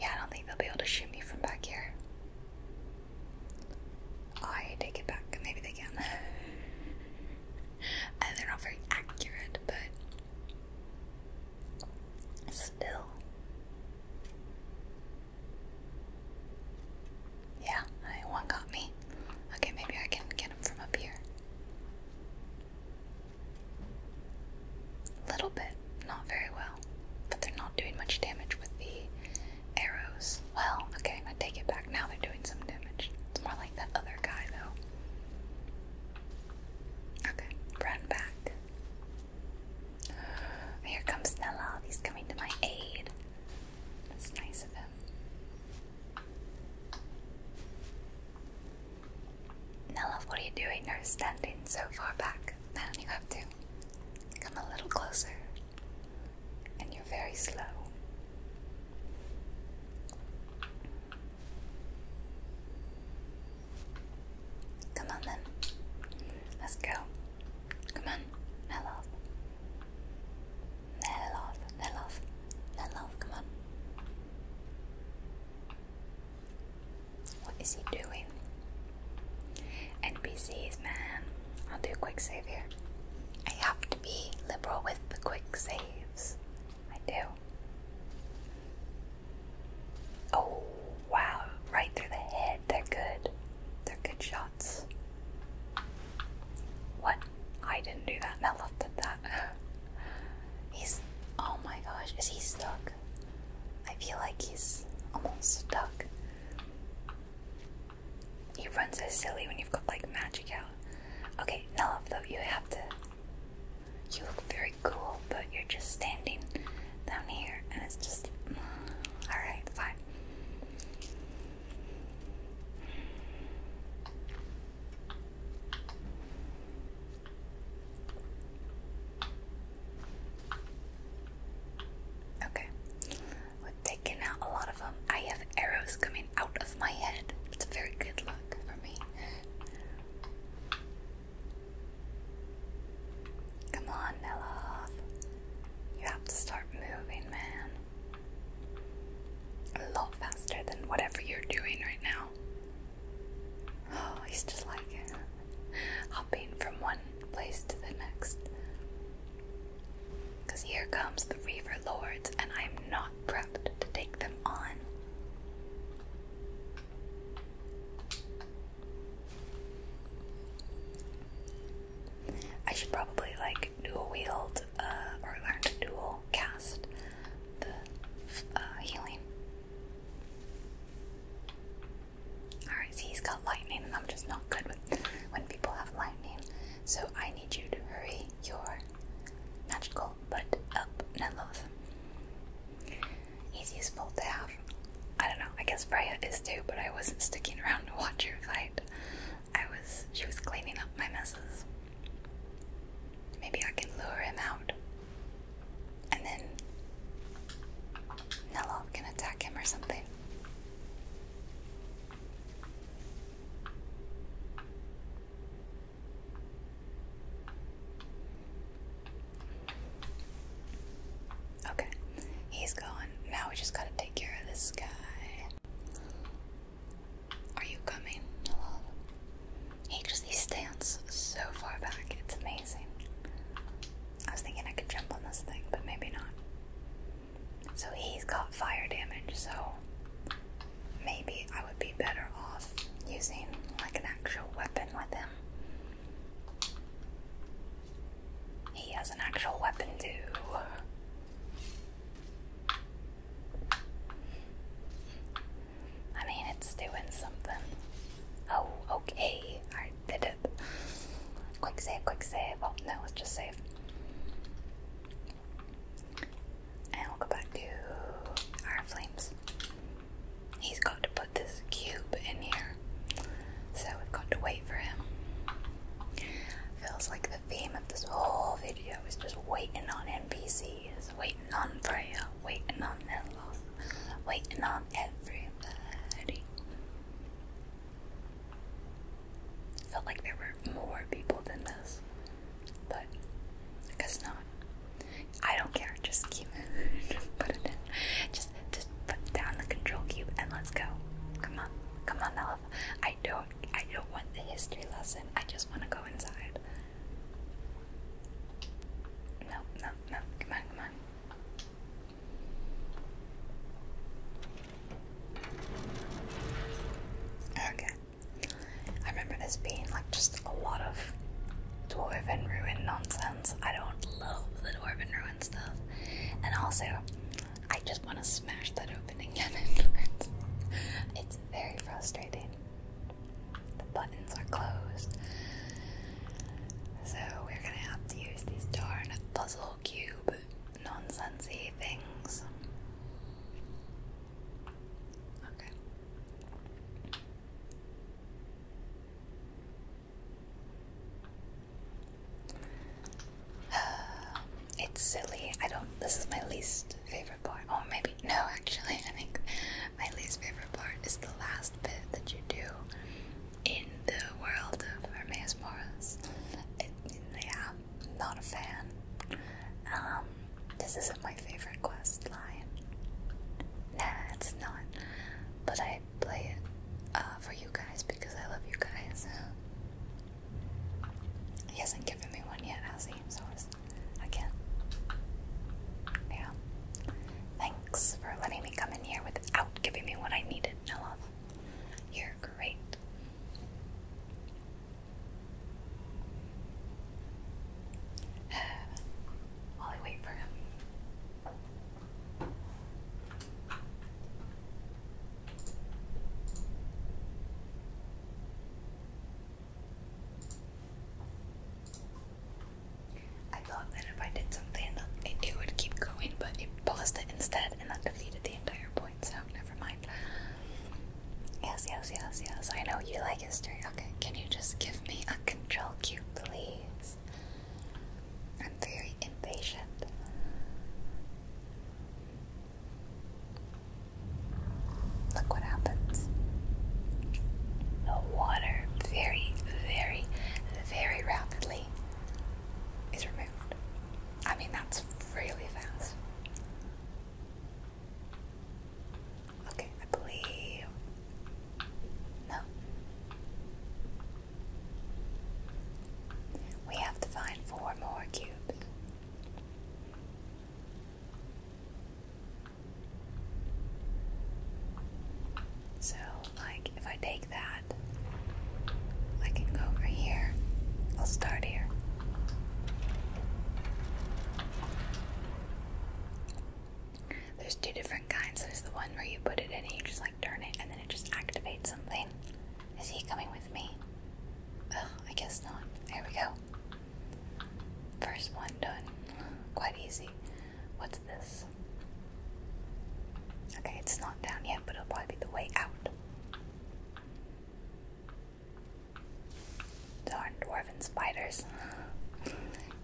Yeah, I don't think they'll be able to shoot me from back here. Oh, I take it back. Maybe they can. and uh, they're not very accurate, but still. Yeah, one got me. Okay, maybe I can get him from up here. little bit, not very well, but they're not doing much damage with the arrows. Well, okay, I take it back. Now they're doing some damage. more like that other guy, though. Okay, run back. Here comes Nella. He's coming to my aid. That's nice of him. Nella, what are you doing? You're standing so far back. Now you have to come a little closer. And you're very slow. Come on then. Let's go. Come on, Nella. Let it off, let it off, come on. What is he doing? NBC's man. I'll do a quick save here. I have to be liberal with the quick saves. I do. Oh, wow. Right through the head. They're good. They're good shots. What? I didn't do that. I looked at that. he's. Oh my gosh, is he stuck? I feel like he's almost stuck. He runs so silly when you've got like magic out. Okay, Nella, though, you have to. You look very cool, but you're just standing down here, and it's just. Mm, Alright, fine. Okay, we've taken out a lot of them. I have arrows coming out of my head. It's very good luck for me. Come on, Nelov. You have to start moving, man a lot faster than whatever you're doing right now. he's oh, just like hopping from one place to the next. Because here comes the Reaver Lords, and I am not prepped to take them on. I should probably like do a wield uh, or learn to dual cast the uh, healing. Alright, he's got lightning, and I'm just not good with when people have lightning. So I need you to hurry your magical butt up, Neloth. He's bolt to have. I don't know, I guess Freya is too, but I wasn't sticking around to watch your fight. I was she was cleaning up my messes. Maybe I can lure him out. And then Nella can attack him or something. Okay, he's gone. Now we just gotta take care of this guy. Are you coming, Hello? He stands so far back. It's amazing. I was thinking I could jump on this thing, but maybe not. So he's got fire damage, so maybe I would be better off using like an actual weapon with him. He has an actual weapon too. I mean, it's doing something. Oh, okay. I did it. Quick save, quick save. Oh, no, let's just save. And we'll go back to our flames. He's got to put this cube in here. So we've got to wait for him. Feels like the theme of this whole video is just waiting on NPCs, waiting on Freya, waiting on Nellos, waiting on everybody. Felt like there were more people than this, but I guess not. I don't care, just keep it, just put it in. Just, just put down the control cube and let's go. Come on, come on, Nello. I know I don't want the history lesson. I just want to go inside. No, no, no. Come on, come on. Okay. I remember this being like just a lot of dwarven ruin nonsense. I don't love the dwarven ruin stuff. And also, I just want to smash that it's very frustrating. The buttons are closed. So we're gonna have to use these darn puzzle cube nonsensy things. Okay. it's silly. I don't. This is my least least favorite part. Oh, maybe no. Actually, I think my least favorite part is the last bit that you do in the world of Hermes Morris. It, yeah, i not a fan. Um, this isn't my favorite quest line. Nah, it's not. But I play it uh, for you guys because I love you guys. He hasn't given me one yet, has he? So again. Yeah. Thanks for letting me come in here without giving me what I needed, Nella. You're great. While I wait for him. I thought that if I did something, it, would keep going, but it paused it instead, and that defeated the entire point, so never mind. Yes, yes, yes, yes. I know you like history. Okay, can you just give me a control cue, please? I'm very impatient. Look what happens. The water very, very, very rapidly is removed. I mean, that's really fast. Okay, I believe. No. We have to find four more cubes. So, like, if I take that, I can go over here. I'll start here. There's two different kinds. There's the one where you put it in and you just like turn it and then it just activates something. Is he coming with me? I guess not. Here we go. First one done. Quite easy. What's this? Okay, it's not down yet, but it'll probably be the way out. Darn dwarven spiders.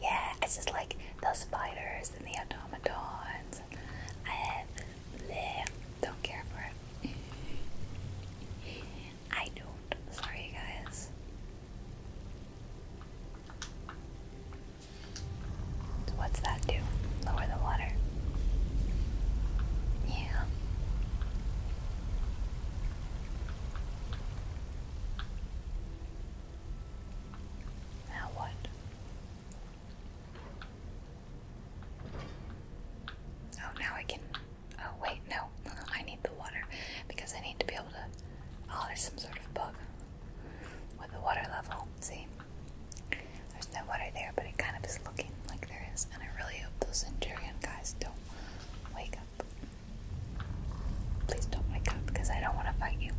yeah, it's just like the spiders and the automatons. And don't care for it. I don't. Sorry, guys. what's that do? Lower the water. Yeah. Now what? Oh, now I can Oh wait, no. I need the water because I need to be able to. Oh, there's some sort of bug with the water level. See, there's no water there, but it kind of is looking like there is. And I really hope those Centurion guys don't wake up. Please don't wake up because I don't want to fight you.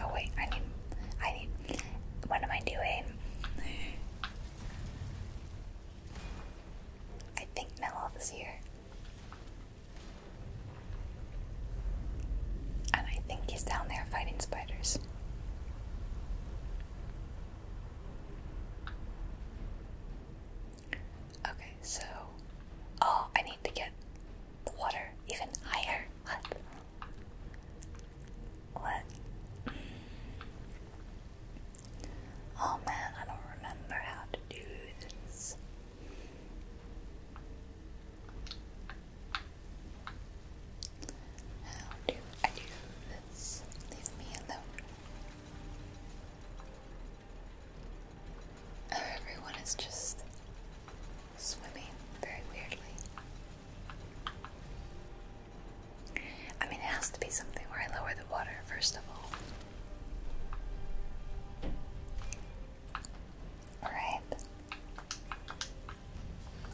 Oh wait, I need. I need. What am I doing? I think Mel is here. And I think he's down there fighting spiders. Okay, so. Oh, I need to get the water even higher. What? What? Oh man, I don't remember how to do this. How do I do this? Leave me alone. Oh, everyone is just swimming very weirdly. I mean, it has to be something where I lower the water, first of all. Alright.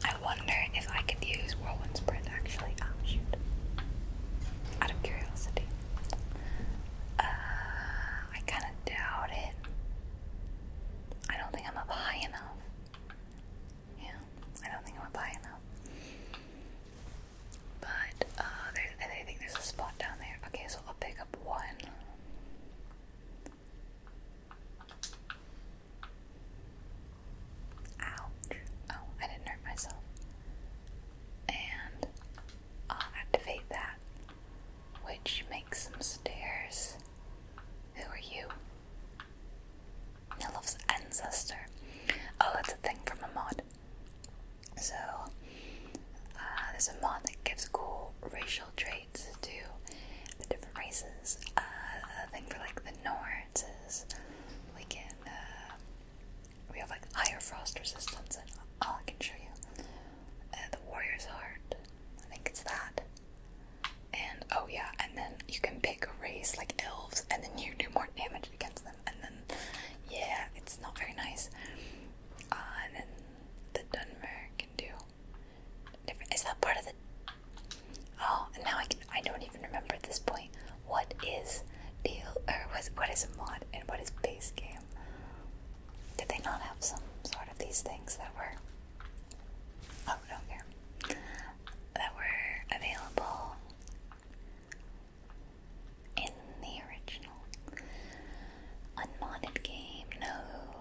I wonder if I could use Whirlwind Sprint actually. Oh, shoot. Out of curiosity. Uh, I kind of doubt it. I don't think I'm up high enough. Yeah, I don't think I'm up high enough. But uh, I think there's a spot down there. Okay, so I'll pick up one. Ouch. Oh, I didn't hurt myself. And I'll activate that, which makes some stairs. Who are you? Nilof's ancestor. Oh, that's a thing from a mod. So, uh, there's a mod that gives cool racial traits to the different races. Uh, a thing for like the Nords is we can, uh, we have like higher frost resistance, and all I can show you. Uh, the warrior's heart, I think it's that. And oh, yeah, and then you can pick a race like elves, and then you do more damage against them and then yeah, it's not very nice. Uh, and then the Dunmer can do Is that part of the? Oh, now I can. I don't even remember at this point. What is deal or was what is mod and what is base game? Did they not have some sort of these things that were? Oh, don't That were available in the original unmodded game. No.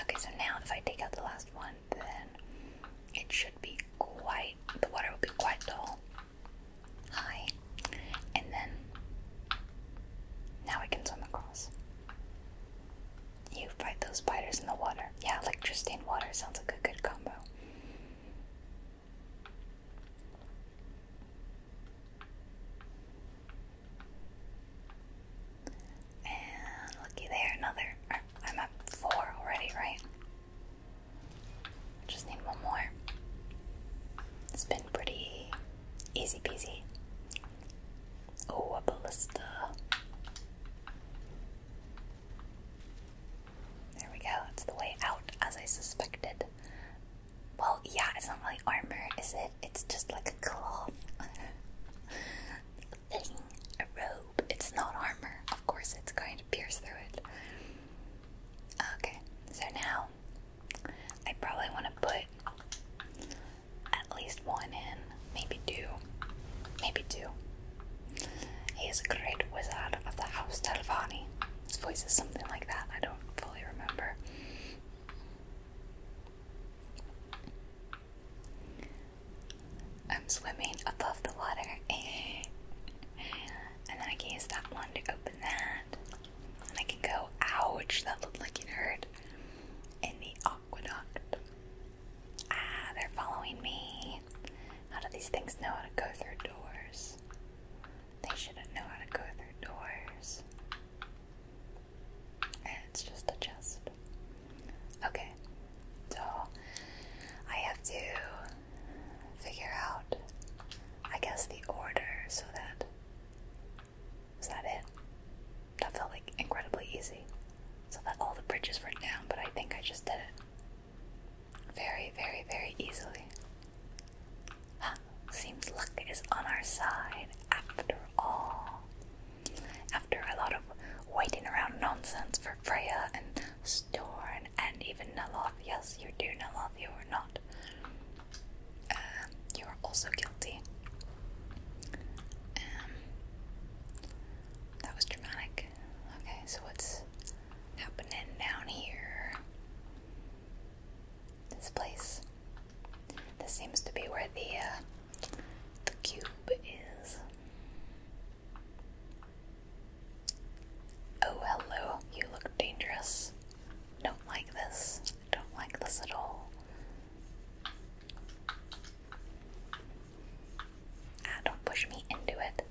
Okay, so now if I take out the last one, then it should be quite. The water will be quite tall, High, and then now we can swim across. You fight those spiders in the water. Yeah, electricity and water sounds like a good combo. And looky there, another. I'm at four already, right? Just need one more. It's been pretty easy peasy. Oh, a ballista. There we go. It's the way out, as I suspected. Well, yeah, it's not really armor, is it? It's just like a cloth a robe. It's not armor. Of course, it's going to pierce through it. Okay, so now I probably want to put at least one in, maybe two, maybe two. He's a great wizard of the House Delvani. His voice is something like that, I don't fully remember. I'm swimming above the water. and then I can use that one to open that. And I can go, ouch, that looked like it hurt. In the aqueduct. Ah, they're following me. How do these things know how to go through doors? They shouldn't know how to go through doors. And it's just a chest. Okay, so I have to figure out, I guess, the order so that. Is that it? That felt like incredibly easy. So that all the bridges were down, but I think I just did it very, very, very easily. seems luck is on our side after all. After a lot of waiting around nonsense for Freya and Storm, and even Naloth. Yes, you do, Naloth, you are not. Uh, you are also guilty. Um, that was dramatic. Okay, so what's happening down here. This place. This seems to be where the uh, the cube is. Oh, hello. You look dangerous. Don't like this. Don't like this at all. Ah, don't push me into it.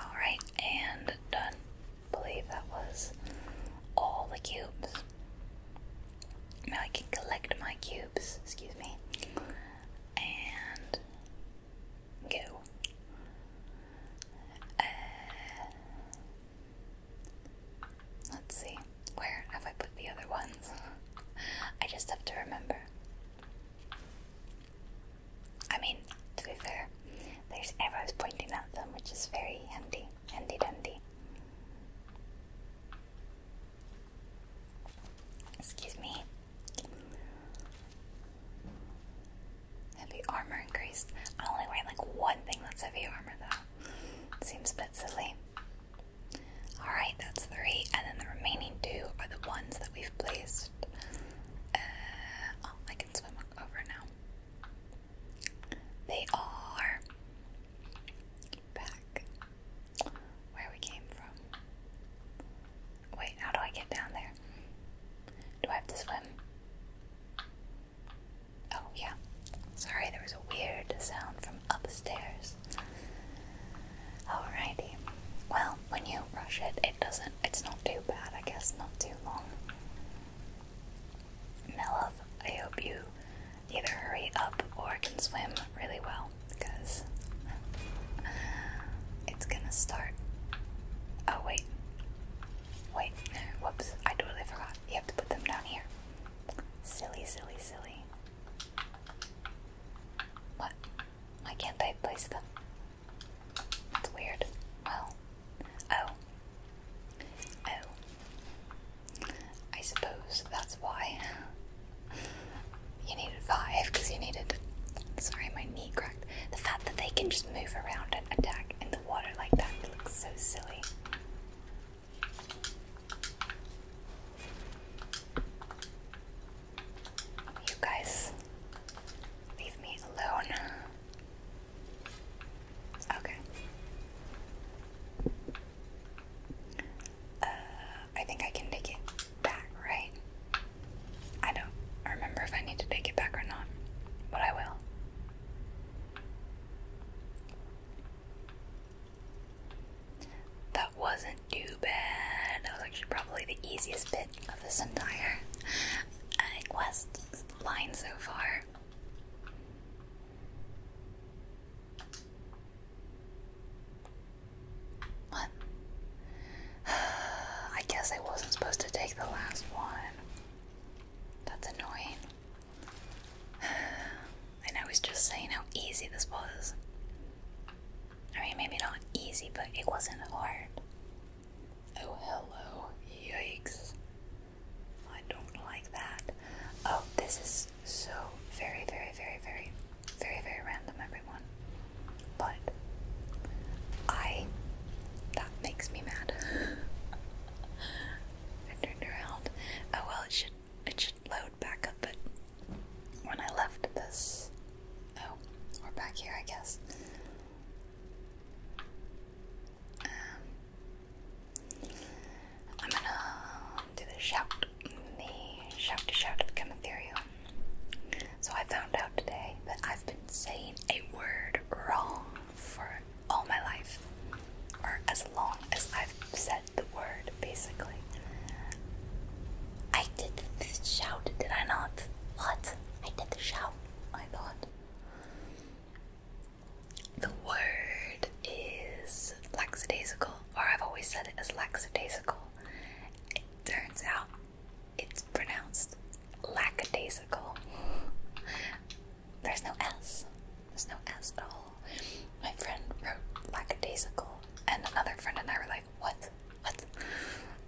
Alright, and done. believe that was all the cubes. Now I can collect my cubes, excuse me, and go. Uh, let's see, where have I put the other ones? I just have to remember. I mean, to be fair, there's arrows pointing at them, which is very handy, handy dandy. Excuse me. Heavy armor increased. I only wear like one thing that's heavy armor though. Seems a bit silly. Alright, that's three, and then the remaining two are the ones that we've placed. Uh, oh, over now. They are back where we came from. Wait, how do I get down there? Do I have to swim? Oh, yeah. Sorry, there was a weird sound from upstairs. All righty. Well, when you brush it, it doesn't, it's not too bad, I guess, not too long. Melov, I hope you either hurry up or can swim really well, because uh, it's gonna start. Oh, wait. Wait, whoops, I totally forgot. You have to put them down here. Silly, silly, silly. What? Why can't I place them? That's weird. Well, oh. oh. Oh. I suppose that's why. You needed five because you needed. Sorry, my knee cracked. The fact that they can just move around and attack in the water like that looks so silly. You guys, leave me alone. Okay. Uh, I think I can take it back, right? I don't remember if I need to take it back or not, but I will. That wasn't too bad. That was actually probably the easiest bit of this entire uh, quest line so far. What? I guess I wasn't supposed to take the last one. That's annoying. And I was just saying how easy this was. I mean, maybe not easy, but it wasn't hard. Oh, hello. Yikes. I don't like that. Oh, this is so very, very, very, very, very, very random, everyone. But I. That makes me mad. I turned around. Oh well, it should it should load back up. But when I left this, oh, we're back here, I guess. Um, I'm gonna do the shout, the shout to shout to become So I found out today that I've been saying a word wrong for all my life, or as long as I've said the word, basically. I did the shout, did I not? What? I did the shout, I thought. The word is lackadaisical, or I've always said it as lackadaisical. It turns out it's pronounced lackadaisical. There's no S. There's no S at all. My friend wrote lackadaisical, and another friend and I were like, what? What?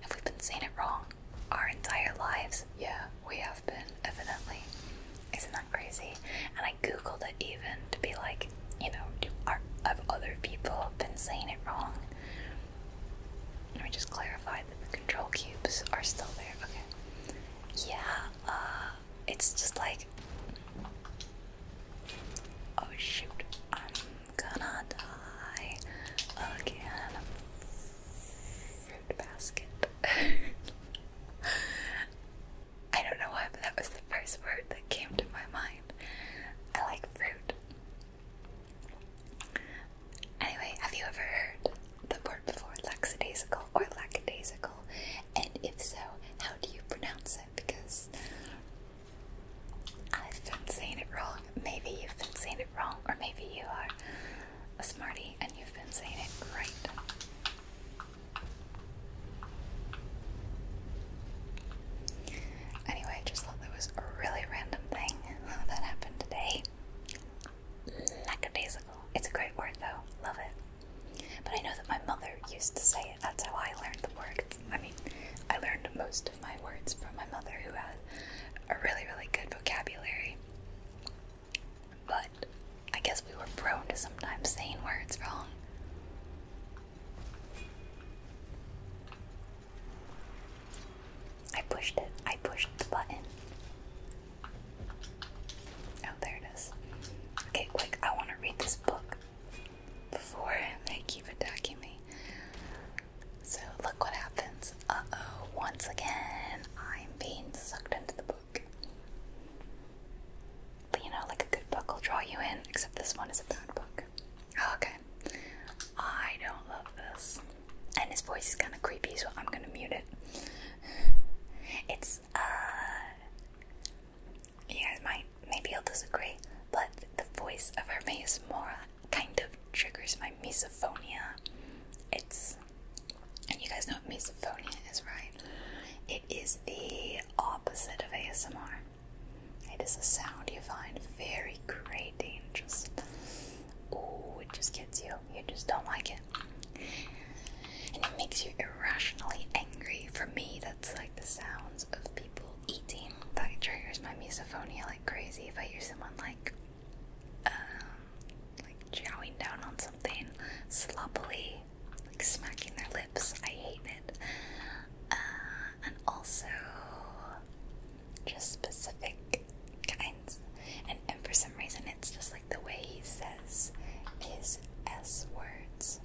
Have we been saying it wrong? our entire lives. Yeah, we have been, evidently. Isn't that crazy? And I googled it even to be like, you know, do, are, have other people have been saying it wrong? Let me just clarify that the control cubes are still there. Okay. Yeah, uh, it's just like. Oh shoot, I'm gonna die again basket. I don't know why, but that was the first word that came to my mind. I like fruit. Anyway, have you ever heard the word before lackadaisical or lackadaisical? And if so, how do you pronounce it? Because I've been saying it wrong. Maybe you've been saying it wrong, or maybe you are a smarty, and you've been saying it right. Anyway, just thought that was a really random thing that happened today. Lackadaisical. It's a great word though. Love it. But I know that my mother used to say it. That's how I learned the word. I mean, I learned most of my words from my mother who had a really, really good vocabulary. But I guess we were prone to sometimes saying words wrong. I pushed it. I pushed the button. Oh, there it is. Okay, quick, I want to read this book before they keep attacking me. So, look what happens uh oh, once again, I'm being sucked into the book. But you know, like a good book will draw you in, except this one is a bad book. Oh, okay. I don't love this. And his voice is kind of creepy, so I'm gonna mute it. It's, uh. You guys might, maybe i will disagree, but the voice of Hermes Mora kind of triggers my misophonia. It's and you guys know what misophonia is, right? It is the opposite of ASMR. It is a sound you find very grating, just oh, it just gets you. You just don't like it, and it makes you irrationally angry. For me, that's like the sounds of people eating. That triggers my misophonia like crazy. If I hear someone like um, like chowing down on something sloppily, like smacking their lips. I hate it. Uh, and also just specific kinds. And, for some reason, it's just like the way he says his S words.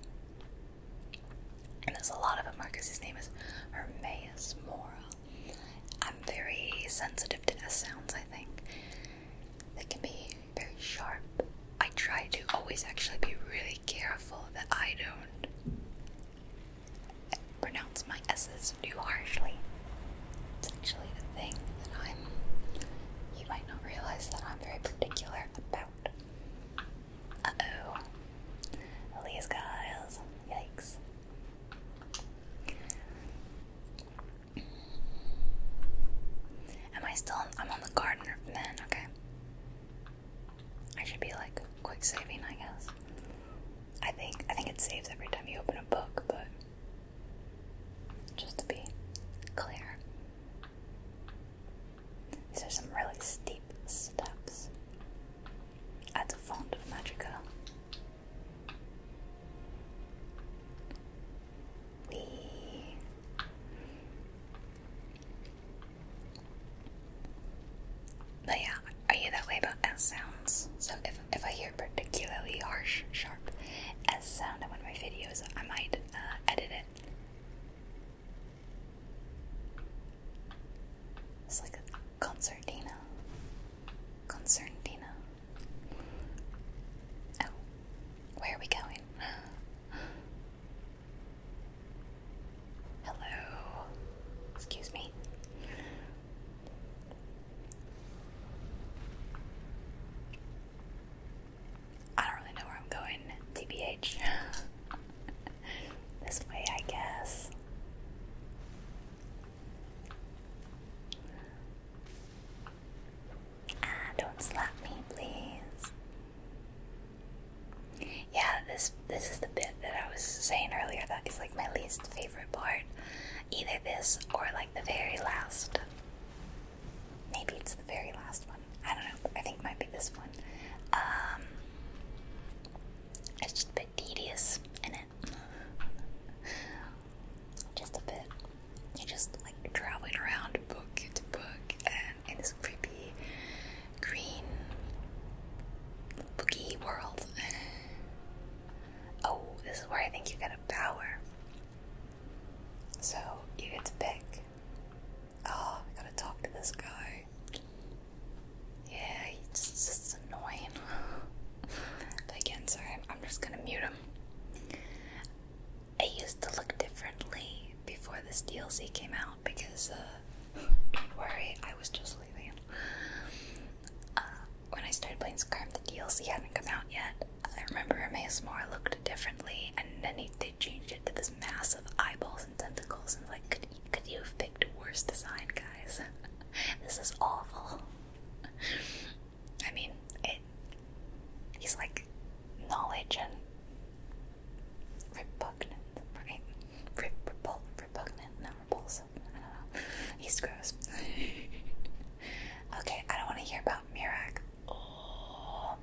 And there's a lot of them because his name is Hermaeus Mora. I'm very sensitive to S sounds, I think. They can be very sharp. I try to always actually be really careful that I don't pronounce my S's too harshly. It's actually the thing that I'm, you might not realize that I'm very particular about. Uh oh. Elias Giles. Yikes. Am I still? I'm on the gardener then, okay. I should be like quick saving, I guess. I think I think it saves every time you open a book, but just to be clear. These are some really steep steps. At the font of magica. But yeah, are you that S sounds? So if if I hear particularly harsh, sharp S sound in one of my videos, I might uh, edit it. It's like a concertina. Concertina. Oh, where are we going? Hello. Excuse me. I don't really know where I'm going, TBH. this way, I guess. Ah, don't slap me, please. Yeah, this this is the bit that I was saying earlier that is like my least favorite part. Either this or like the very last. Maybe it's the very last one. I don't know. I think it might be this one. Um, it's just a bit tedious in it just a bit. You're just like traveling around book to book and in this creepy green boogie world. oh, this is where I think you get a power. So you get to pick. Oh, I gotta talk to this guy. Yeah, he's just, annoying. again, sorry, I'm just gonna mute him. It used to look differently before this DLC came out because, uh, don't worry, I was just leaving. Uh, when I started playing Skyrim, the DLC hadn't come out yet. I remember Emmaus Mora looked differently, and then they changed it to this massive eyeballs and tentacles, and like, could, could you have picked a worse design, guys? this is awful. I mean, it. He's like knowledge and repugnant, right? Rep repul repugnant, not repulsive. I don't know. He's gross. okay, I don't want to hear about Mirak. Oh,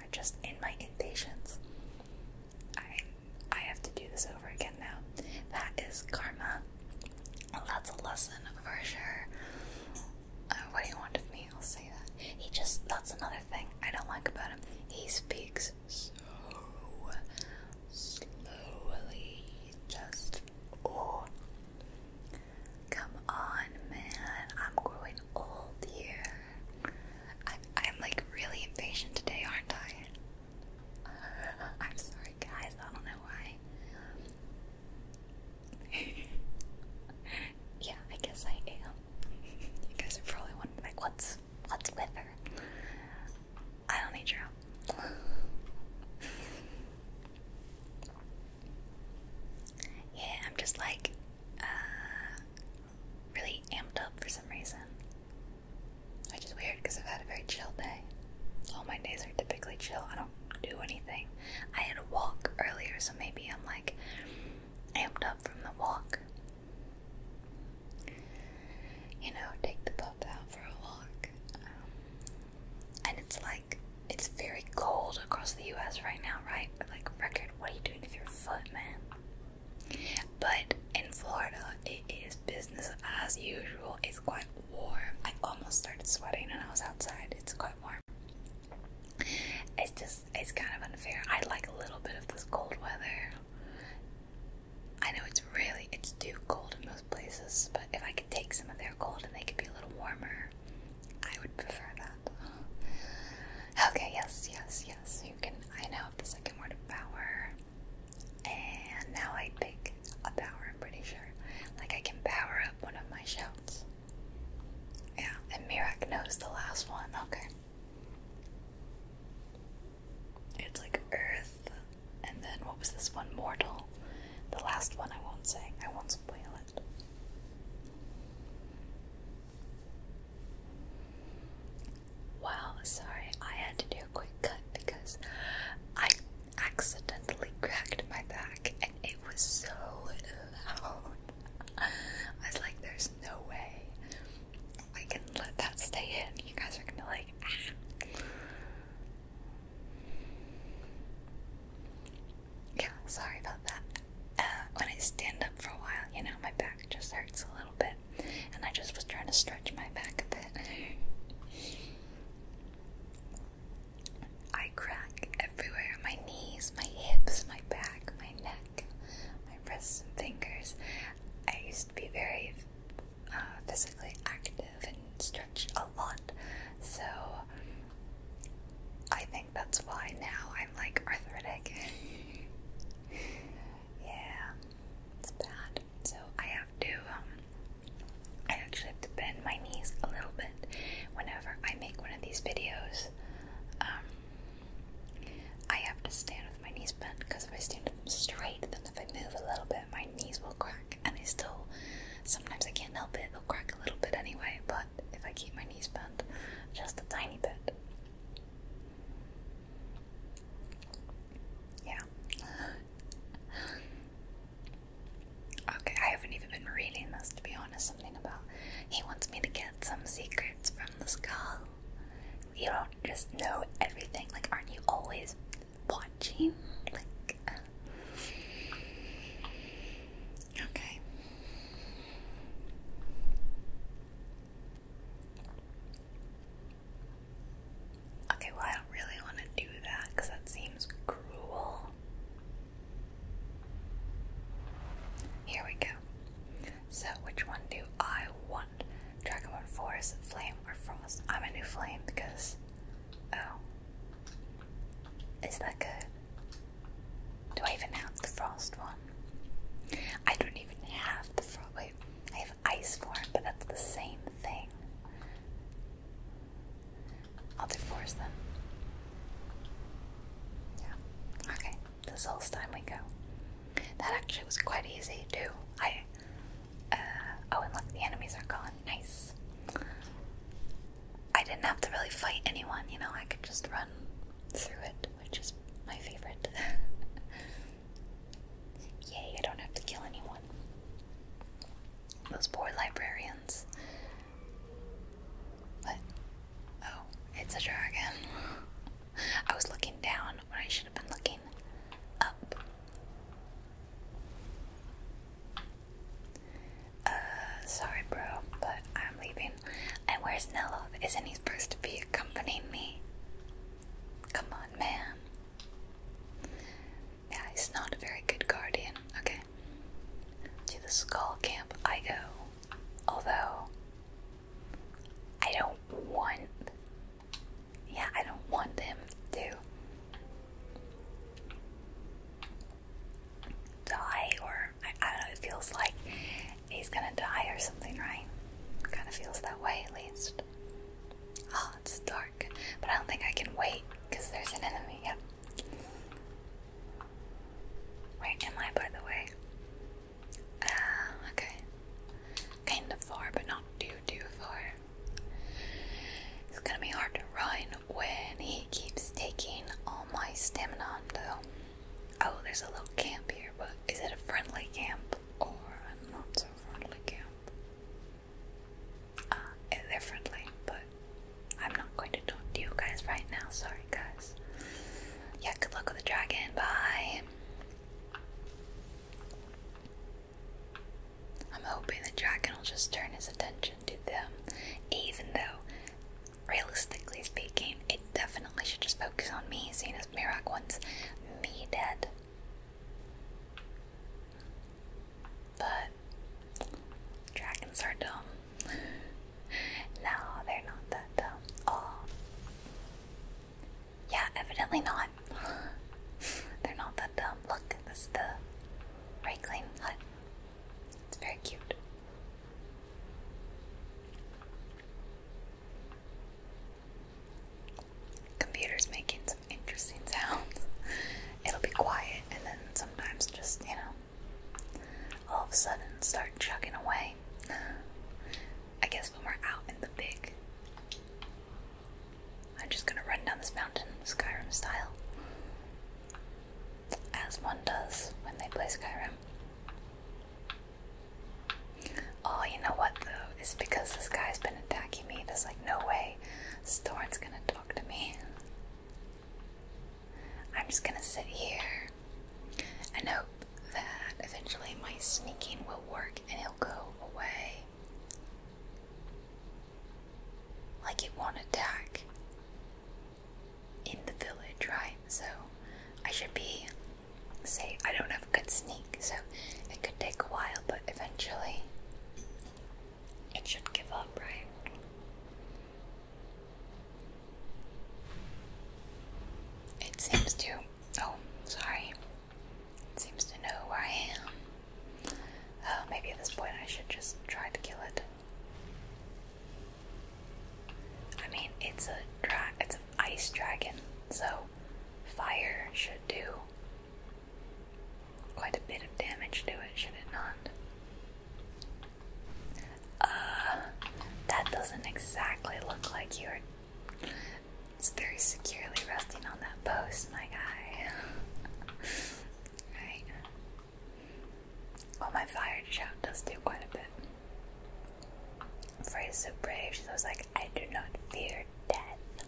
I just in my impatience. I I have to do this over again now. That is karma. Well, that's a lesson for sure. Uh, what do you want of me? I'll say that. He just, that's another thing I don't like about him. He speaks so slowly. Just, oh. Come on, man. I'm growing old here. I, I'm like really impatient today, aren't I? I'm sorry, guys. I don't know why. yeah, I guess I am. you guys are probably wondering, like, what's what's with her? I don't need your help. yeah, I'm just like uh, really amped up for some reason, which is weird because I've had a very chill day. All my days are typically chill do anything. I had a walk earlier, so maybe I'm like amped up from the walk. You know, take the pup out for a walk. Um, and it's like, it's very cold across the US right now, right? Like, record, what are you doing with your foot, man? But in Florida, it is business as usual. It's quite warm. I almost started sweating when I was outside. It's quite warm. It's just, it's kind of unfair. I like a little bit of this cold weather. I know it's really, it's too cold in most places, but if I could take some of their cold and they could be a little warmer, I would prefer that. Okay, yes, yes, yes. You can, I know the second word of power. And now I pick a power, I'm pretty sure. Like I can power up one of my shouts. Yeah, and Mirak knows the last one. Okay. It's like Earth, and then what was this one? Mortal. The last one I won't say. I won't spoil it. Wow, sorry, I had to do a quick cut because I accidentally cracked my back and it was so loud. I was like, there's no way I can let that stay in. You guys are gonna like, ah. Yeah, sorry about that. Uh, when I stand up for a while, you know, my back just hurts a little bit. And I just was trying to stretch my back a bit. I crack everywhere my knees, my hips, my back, my neck, my wrists, and fingers. I used to be very uh, physically active and stretch a lot, so I think that's why now I'm like arthritic. yeah, it's bad. So I have to, um, I actually have to bend my knees a little bit whenever I make one of these videos, um, I have to stand with my knees bent because if I stand them straight, then if I move a little bit, my knees will crack, and I still sometimes I can't help it; they'll crack a little bit anyway. But if I keep my knees bent just a tiny bit, yeah. Okay, I haven't even been reading this to be honest. Something about he wants me to get some secrets from the skull. You don't just know everything. Like, aren't you always watching? Like, uh. okay. Okay, well, I don't really want to do that because that seems cruel. Here we go. So, which one do I want? Dragon Dragonborn Forest, Flame, or Frost? I'm a new Flame because. Oh. Is that good? Do I even have the Frost one? I don't even have the Frost. Wait, I have Ice form, but that's the same thing. I'll divorce them. Yeah. Okay. This whole time we go. That actually was quite easy too. I. Uh, oh, and look, the enemies are gone. Nice. I didn't have to really fight anyone, you know, I could just run through it, which is my favorite. Yay, I don't have to kill anyone. Those poor librarians aliens. Oh, it's a dragon. I was looking down when I should have been looking up. Uh, sorry, bro, but I'm leaving. And where's Nello? Isn't he supposed to be accompanying me? Come on, man. Yeah, he's not a very good guardian. Okay. To the skull camp I go, although I don't want. Yeah, I don't want him to die, or I, I know, it feels like he's gonna die or something, right? Kind of feels that way at least. Oh, it's dark, but I don't think I can wait because there's an enemy. Yep. Where am I, by the way? Ah, okay. Kind of far, but not too, too far. It's gonna be hard to run when he keeps taking all my stamina, though. Oh, there's a little camp here, but is it a friendly camp or a not so friendly camp? Ah, uh, they friendly, but I'm not going to talk to you guys right now. Sorry, guys. Yeah, good luck with the dragon. Bye. I'm hoping the dragon will just turn his attention to them, even though, realistically speaking, it definitely should just focus on me, seeing as Mirak wants me dead. But dragons are dumb. no, they're not that dumb. Oh. Yeah, evidently not. they're not that dumb. Look, this is the Reichling hut. It's very cute. Computer's making some interesting sounds. It'll be quiet and then sometimes just, you know, all of a sudden start chugging away. I guess when we're out in the big. I'm just gonna run down this mountain Skyrim style. As one does when they play Skyrim. Oh, you know what though? It's because this guy's been attacking me. There's like no way Storm's gonna talk to me. I'm just gonna sit here and hope that eventually my sneaking will work and it'll go away. Like it won't attack in the village, right? So I should be say I don't have a good sneak, so it could take a while, but eventually it should give up, right? It seems to. Oh, sorry. It seems to know where I am. Oh, maybe at this point I should just try to kill it. I mean, it's a dra it's an ice dragon, so fire should do quite a bit of damage to it, should it not? Uh, that doesn't exactly look like you're. It's very securely resting on that post, my guy. right. Well, my fired shot does do quite a bit. Freya's so brave, She's always like, I do not fear death.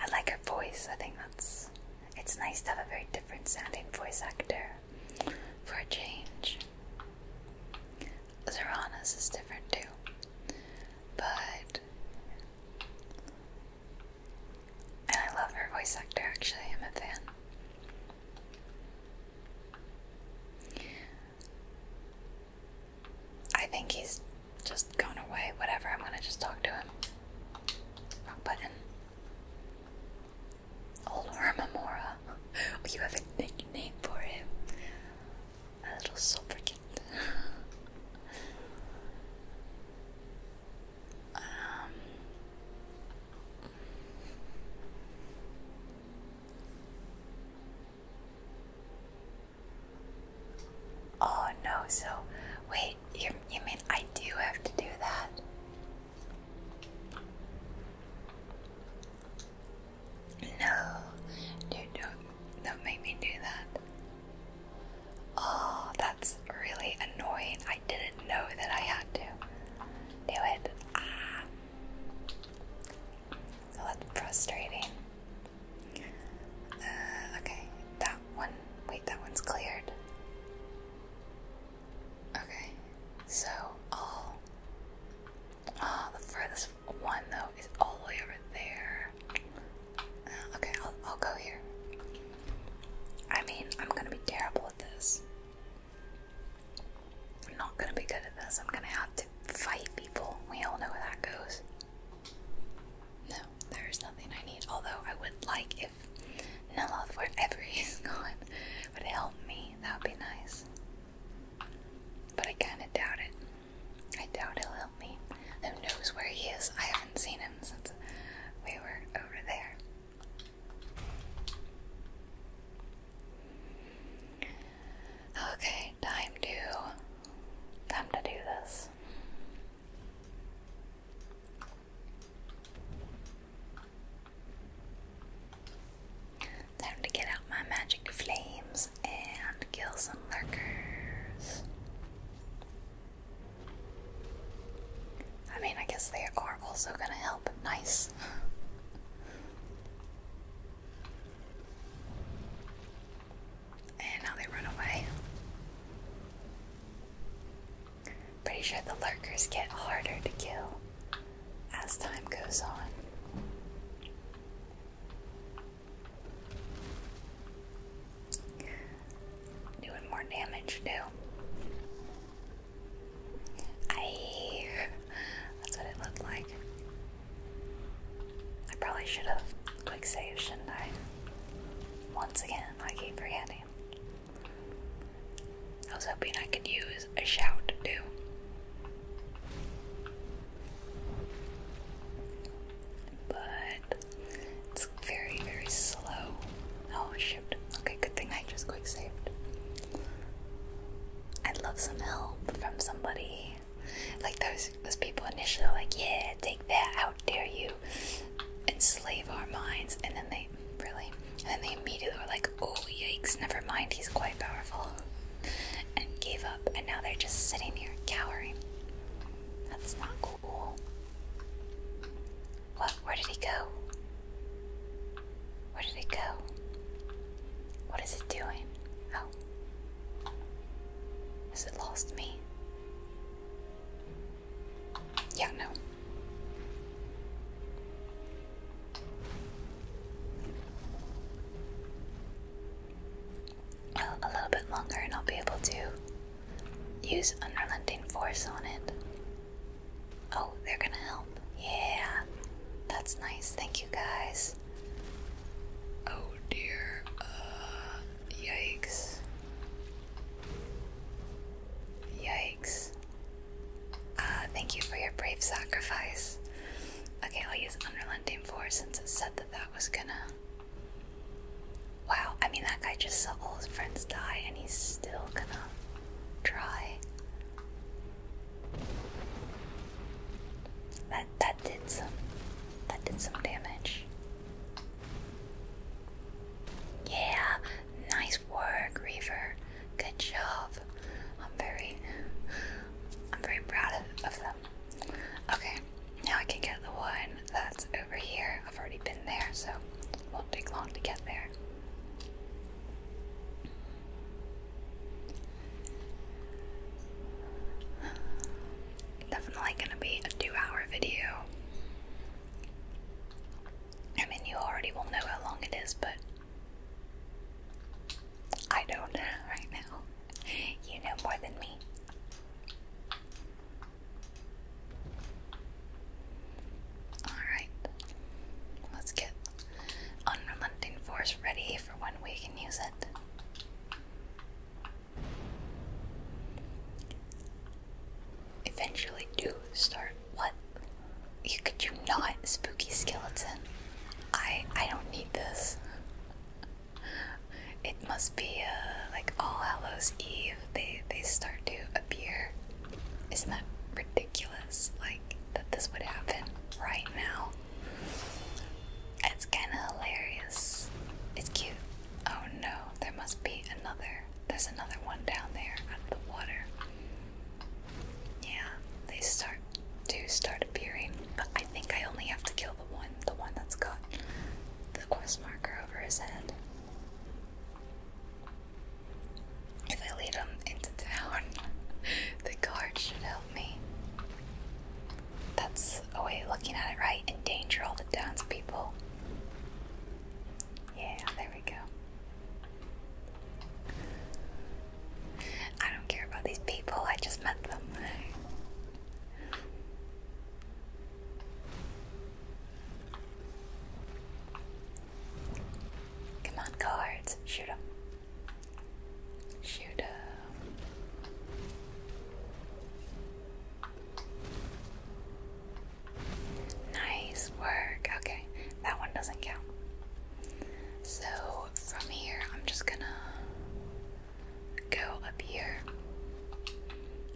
I like her voice, I think that's. It's nice to have a very different sounding voice actor for a change. Zoranas is different too, but I love her voice actor. Actually, I'm a fan. I think he's just gone away. Whatever. I'm gonna just talk to him. Wrong button. Old Hermamora. Oh, you have a nickname for him. A little sobriquet. um. Oh no, so wait, you, you mean I do have to do that? No, dude, don't, don't make me do that. Oh, that's really annoying. I didn't know that I had to do it. Ah. that's frustrating. Uh, okay, that one. Wait, that one's cleared. Okay, so all. Oh, the furthest one though is all the way over there. Uh, okay, I'll, I'll go here. I mean, I'm gonna be terrible at this. I'm not gonna be good at this. I'm gonna have to fight people. We all know where that goes. No, there is nothing I need. Although I would like if Naloth, wherever he's gone, would help me, that would be nice. But I kinda doubt it. I doubt he'll help me. Who knows where he is? I haven't seen him since we were over there. Okay, time to time to do this. Time to get out my magic flames and kill some lurkers. I mean, I guess they are also gonna help. Nice. and now they run away. Pretty sure the lurkers get harder to kill as time goes on. Doing more damage too. I. That's what it looked like. I probably should have quick saved, shouldn't I? Once again, I keep forgetting. I was hoping I could use a shout too. But it's very, very slow. Oh shoot. Okay, good thing I just quick saved. I'd love some help from somebody. Like those those people initially like, yeah, take that, how dare you, enslave our minds, and then they really. And then they immediately were like, oh, yikes, never mind, he's quite powerful. And gave up, and now they're just sitting here cowering. That's not cool. What? Where did he go? Where did he go? What is he doing? Oh. Has it lost me? Yeah, no. Oh, a little bit longer, and I'll be able to use unrelenting force on it. Oh, they're gonna help. Yeah, that's nice. Thank you guys. Oh dear. Uh, yikes. Yikes. Uh, thank you for your brave sacrifice. Okay, I'll use Unrelenting 4 since it said that that was gonna. Wow, I mean, that guy just saw all his friends die and he's still gonna try. That that did some that did some damage. Yeah, nice work, Reaver. Good job. I'm very, I'm very proud of them. Okay, now I can get the one that's over here. I've already been there, so won't take long to get there. Definitely gonna be a two-hour video. I mean, you already will know how long it is, but I don't right now. You know more than me. Alright. Let's get Unrelenting Force ready for when we can use it. Eventually, do start what? You could you not spooky skeleton? I I don't need this. It must be a uh, like All Hallows Eve. They they start to appear. Isn't that ridiculous? Like that this would happen right now. It's kind of hilarious. It's cute. Oh no, there must be another. There's another one down there out of the water. Yeah, they start to start appearing, but I think I only have to kill the one, the one that's got the cross marker over his head. If I lead him into town, the guard should help me. That's a way of looking at it, right? Endanger all the townspeople. Yeah, there we go. I don't care about these people, I just met them. Come on, cards, shoot them. Shoot them. Nice work. Okay, that one doesn't count. So from here, I'm just gonna go up here.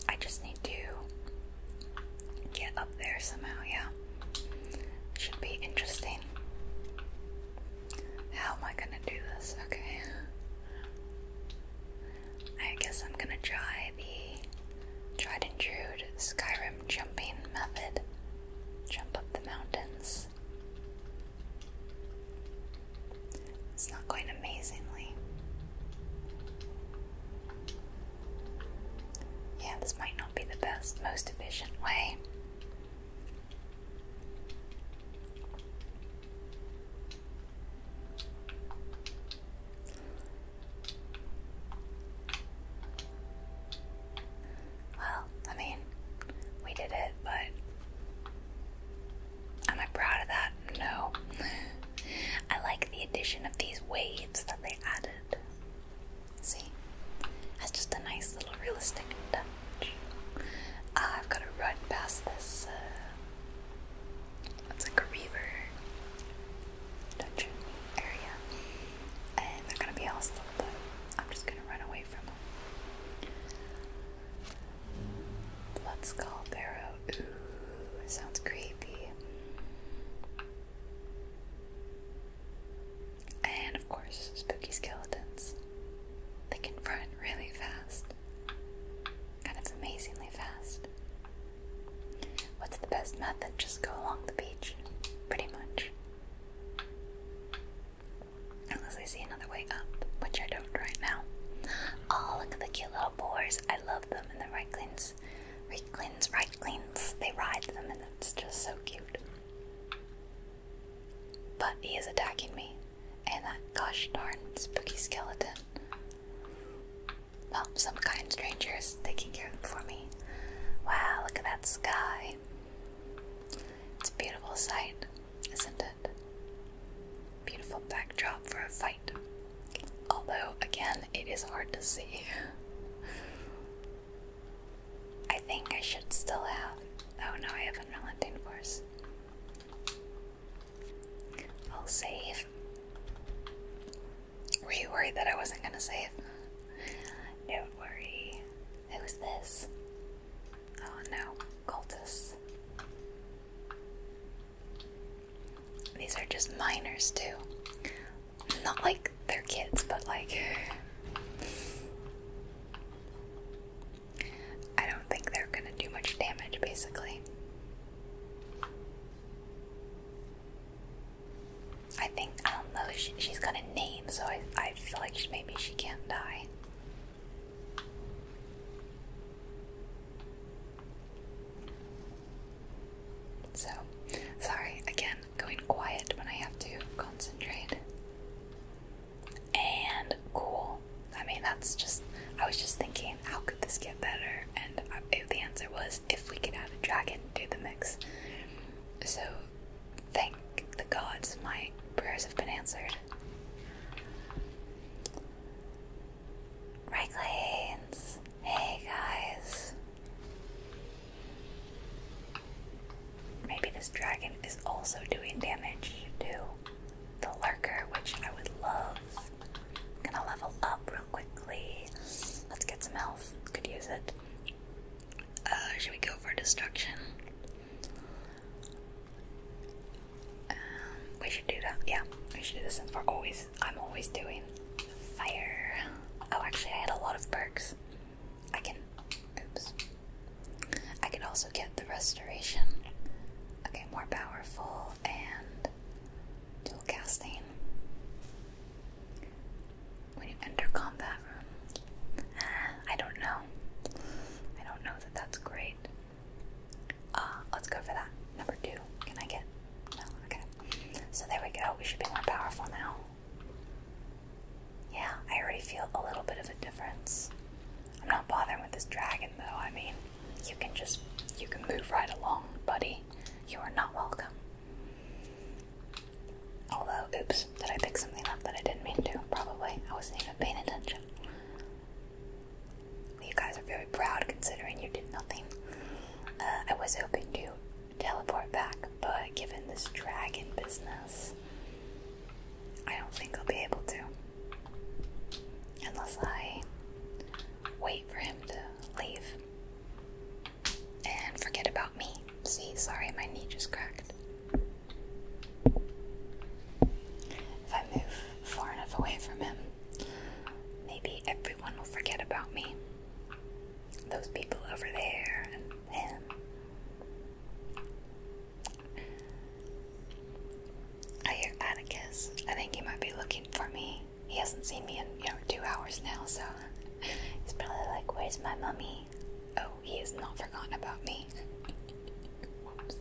I just need to get up there somehow, yeah. Should be interesting. How am I gonna do this? Okay. I guess I'm gonna try the tried and true Skyrim jumping method. Jump up the mountains. It's not going amazingly. Yeah, this might not be the best, most efficient way. Well, I mean, we did it, but am I proud of that? No. I like the addition of these waves that they added. See? That's just a nice little realistic touch. Ah, I've got to run past this. Uh, like a river dungeon area, and they're gonna be all but I'm just gonna run away from them. Let's call Barrow. Ooh, sounds creepy. And of course, spooky skeletons. They can run really fast. And it's amazingly fast. What's the best method? Just go along the beach, pretty much. Unless I see another way up, which I don't right now. Oh, look at the cute little boars. I love them. And the Reiklings, Reiklings, Reiklings, they ride them, and it's just so cute. But he is attacking me. And that gosh darn spooky skeleton. Well, some kind strangers taking care of them for me. Wow, look at that sky. It's a beautiful sight, isn't it? Beautiful backdrop for a fight. Although, again, it is hard to see. I think I should still have. Oh no, I have Unrelenting Force. I'll save. Were you worried that I wasn't gonna save? Don't worry. Who's this? Oh no, cultists. These are just miners too. Not like they're kids, but like. I don't think they're gonna do much damage, basically. I think, I don't know, she, she's gonna name so I, I feel like maybe she can't die. So, sorry, again, going quiet when I have to concentrate. And cool. I mean, that's just, I was just thinking, how could this get better? And uh, I, the answer was if we could add a dragon to the mix. So thank the gods my prayers have been answered. Raglanes! Hey guys! Maybe this dragon is also doing damage to the lurker, which I would love. gonna level up real quickly. Let's get some health. Could use it. Uh, should we go for destruction? Um, we should do that. Yeah, we should do this since always. I'm always doing fire. Oh, actually, I had a lot of perks. I can. Oops. I can also get the restoration. Okay, more powerful and dual casting. When you enter combat, I don't know. I don't know that that's great. Uh, let's go for that. Number two. Can I get? okay. So there we go. We should be more powerful now. Yeah, I already feel a little bit of a difference. I'm not bothering with this dragon though. I mean, you can just you can move right along, buddy. You are not welcome. Although, oops, did I pick something up that I didn't mean to? Probably. I wasn't even paying attention. You guys are very proud considering you did nothing. Uh, I was hoping to teleport back, but given this dragon business, I don't think I'll be able to. Unless I wait for him to leave and forget about me. See, sorry, my knee just cracked. If I move far enough away from him, maybe everyone will forget about me. Those people over there and him. I hear Atticus. I think he might be looking for me. He hasn't seen me in, you know, two hours now, so he's probably like, Where's my mummy? Oh, he has not forgotten about me. Whoops.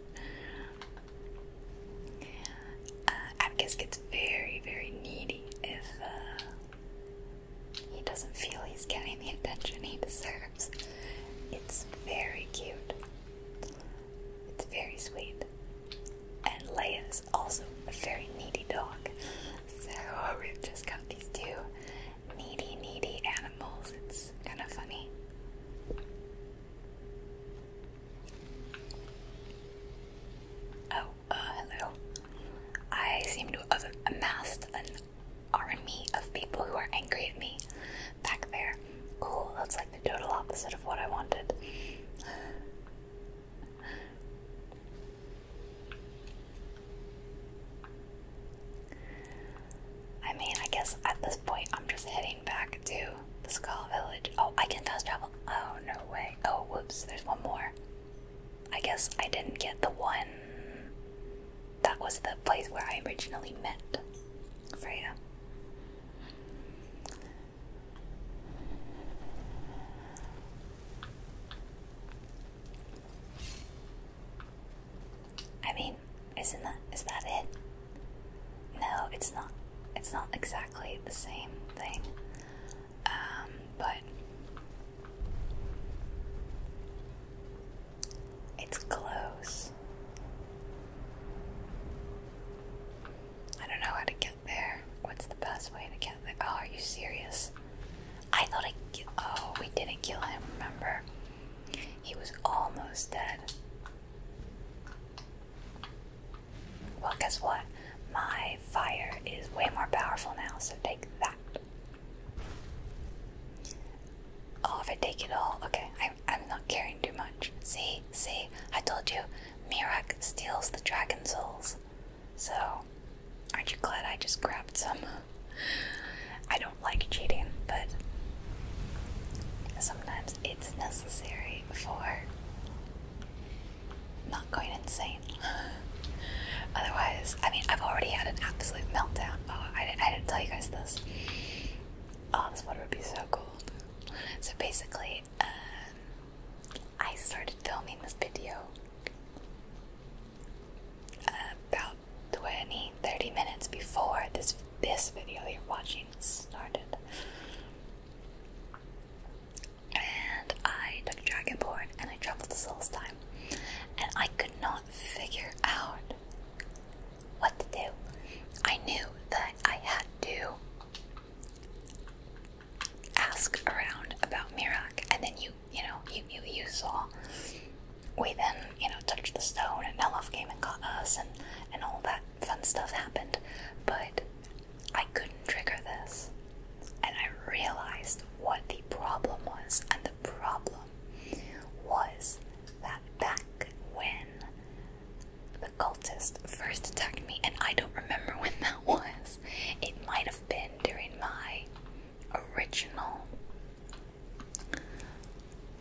Uh, gets very, very needy if uh, he doesn't feel he's getting the attention he deserves. It's very cute. It's very sweet. And Leia is also a very needy dog. So we've just got these two needy, needy animals. It's kind of funny. Oh, uh, hello. I seem to have amassed an army of people who are angry at me back there. Cool, that's like the total opposite of what I wanted. I mean, I guess at this point I'm just heading back to the Skull Village. Oh, I can fast travel. Oh, no way. Oh, whoops, there's one more. I guess I didn't get the one. That was the place where I originally met Freya. I mean, isn't that is that it? No, it's not. It's not exactly the same thing. Um, but it's close. I don't know how to get there. What's the best way to get there? Oh, are you serious? I thought I. Oh, we didn't kill him. Remember? He was almost dead. Well, guess what? My fire is way more powerful now, so take that. Oh, if I take it all, okay, I, I'm not caring too much. See, see, I told you, Mirak steals the dragon souls. So, aren't you glad I just grabbed some? I don't like cheating, but sometimes it's necessary for not going insane. Otherwise, I mean, I've already had an absolute meltdown. Oh, I didn't, I didn't tell you guys this. Oh, this water would be so cold. So basically, um, I started filming this video about 20, 30 minutes before this this video you're watching started. And I took Dragonborn and I traveled to time, And I could not figure out what to do. I knew that I had to ask around about Mirak and then you you know you you, you saw we then, you know, touched the stone and Melov came and got us and, and all that fun stuff happened. But I couldn't trigger this. And I realized what the problem was. And the problem was that back when the cultist first attacked me, and I don't remember when that was, it might have been during my original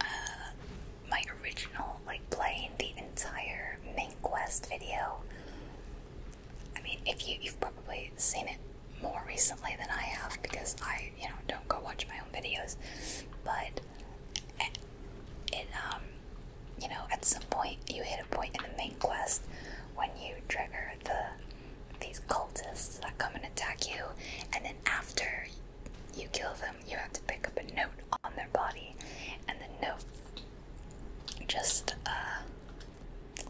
uh, my original like playing the entire main quest video. I mean, if you you've probably seen it more recently than I have because I you know don't go watch my own videos, but eh, it, um you know at some point you hit a point in the main quest when you trigger the these cultists that come and attack you, and then after you kill them you have to pick up a note on their body, and the note just, uh,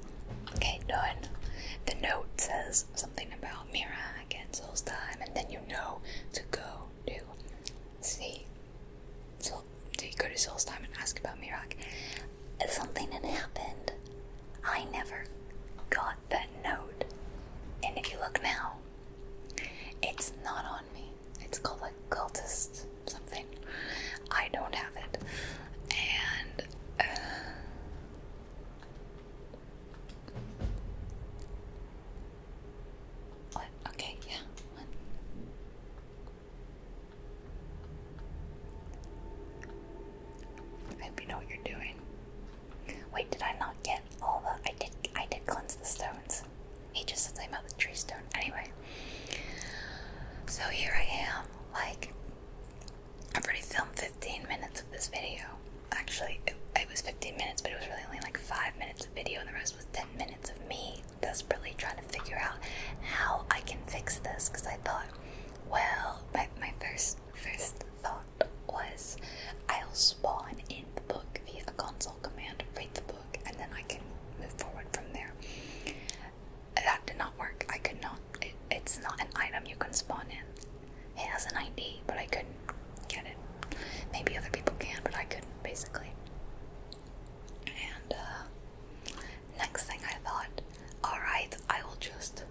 okay, done. The note says something about Mira against Soul's time, and then you know to go to see. So, do you go to Soul's time and ask about Mirak? Something had happened. I never got that note. And if you look now, it's not on me. It's called like cultist something. I don't have it. And uh, what? Okay, yeah. I hope you know what you're doing. Wait, did I not get all the? I did. I did cleanse the stones. He just said something about the tree stone. Anyway, so here I am. Like, I've already filmed 15 minutes of this video. Actually, it, it was 15 minutes, but it was really only like five minutes of video, and the rest was 10 minutes of me desperately trying to figure out how I can fix this. Because I thought, well, my my first first thought was I'll spawn in the book via a console command, read the book, and then I can move forward from there. That did not work. I could not. it's not an item you can spawn in. It has an ID, but I couldn't get it. Maybe other people can, but I couldn't, basically. And uh, next thing I thought, alright, I will just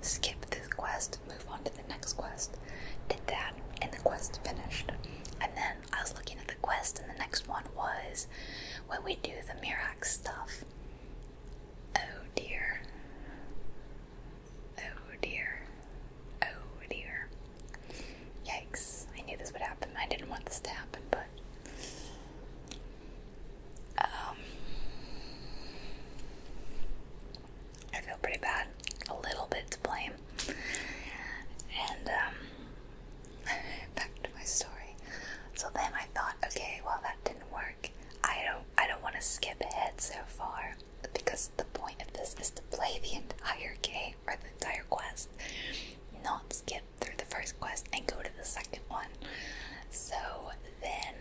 skip this quest move on to the next quest. Did that, and the quest finished. And then I was looking at the quest, and the next one was when we do the mirak stuff. Oh dear. Oh dear. Oh dear. Yikes. I knew this would happen. I didn't want this to happen, but. Um, I feel pretty bad, a little bit to blame. And um, back to my story. So then I thought, okay, well that didn't work. I don't, I don't want to skip ahead so far because the point of this is to play the entire game or the entire quest, not skip through the first quest and go to the second one. So then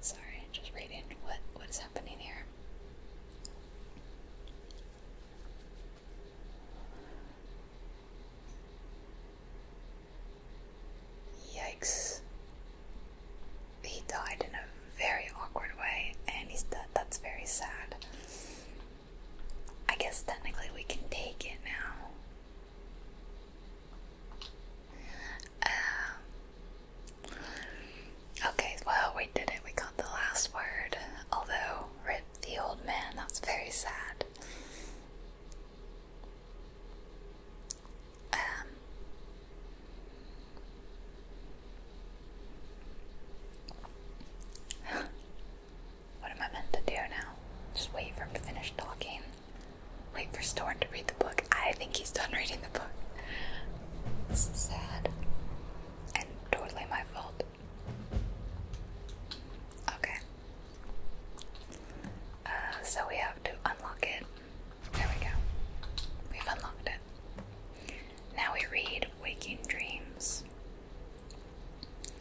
Sorry, just reading what what is happening here. Yikes. He died in a very awkward way, and he's dead. That's very sad. I guess technically we can take it now. Um, okay, well, we did it. We got the last word. Although, rip the old man, that's very sad. Um, what am I meant to do now? Just wait for him to finish talking. Wait for Storm to read the book. I think he's done reading the book. This is sad. And totally my fault. Okay. Uh, so we have to unlock it. There we go. We've unlocked it. Now we read Waking Dreams.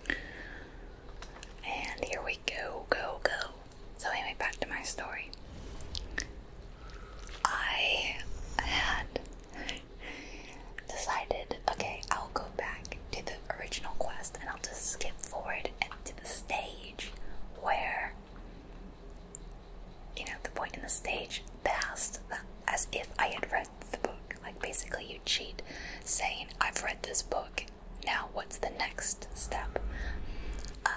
And here we go, go, go. So, anyway, back to my story. I had decided, okay, I'll go back to the original quest and I'll just skip forward and to the stage where, you know, the point in the stage passed as if I had read the book. Like, basically, you cheat saying, I've read this book. Now, what's the next step? Uh,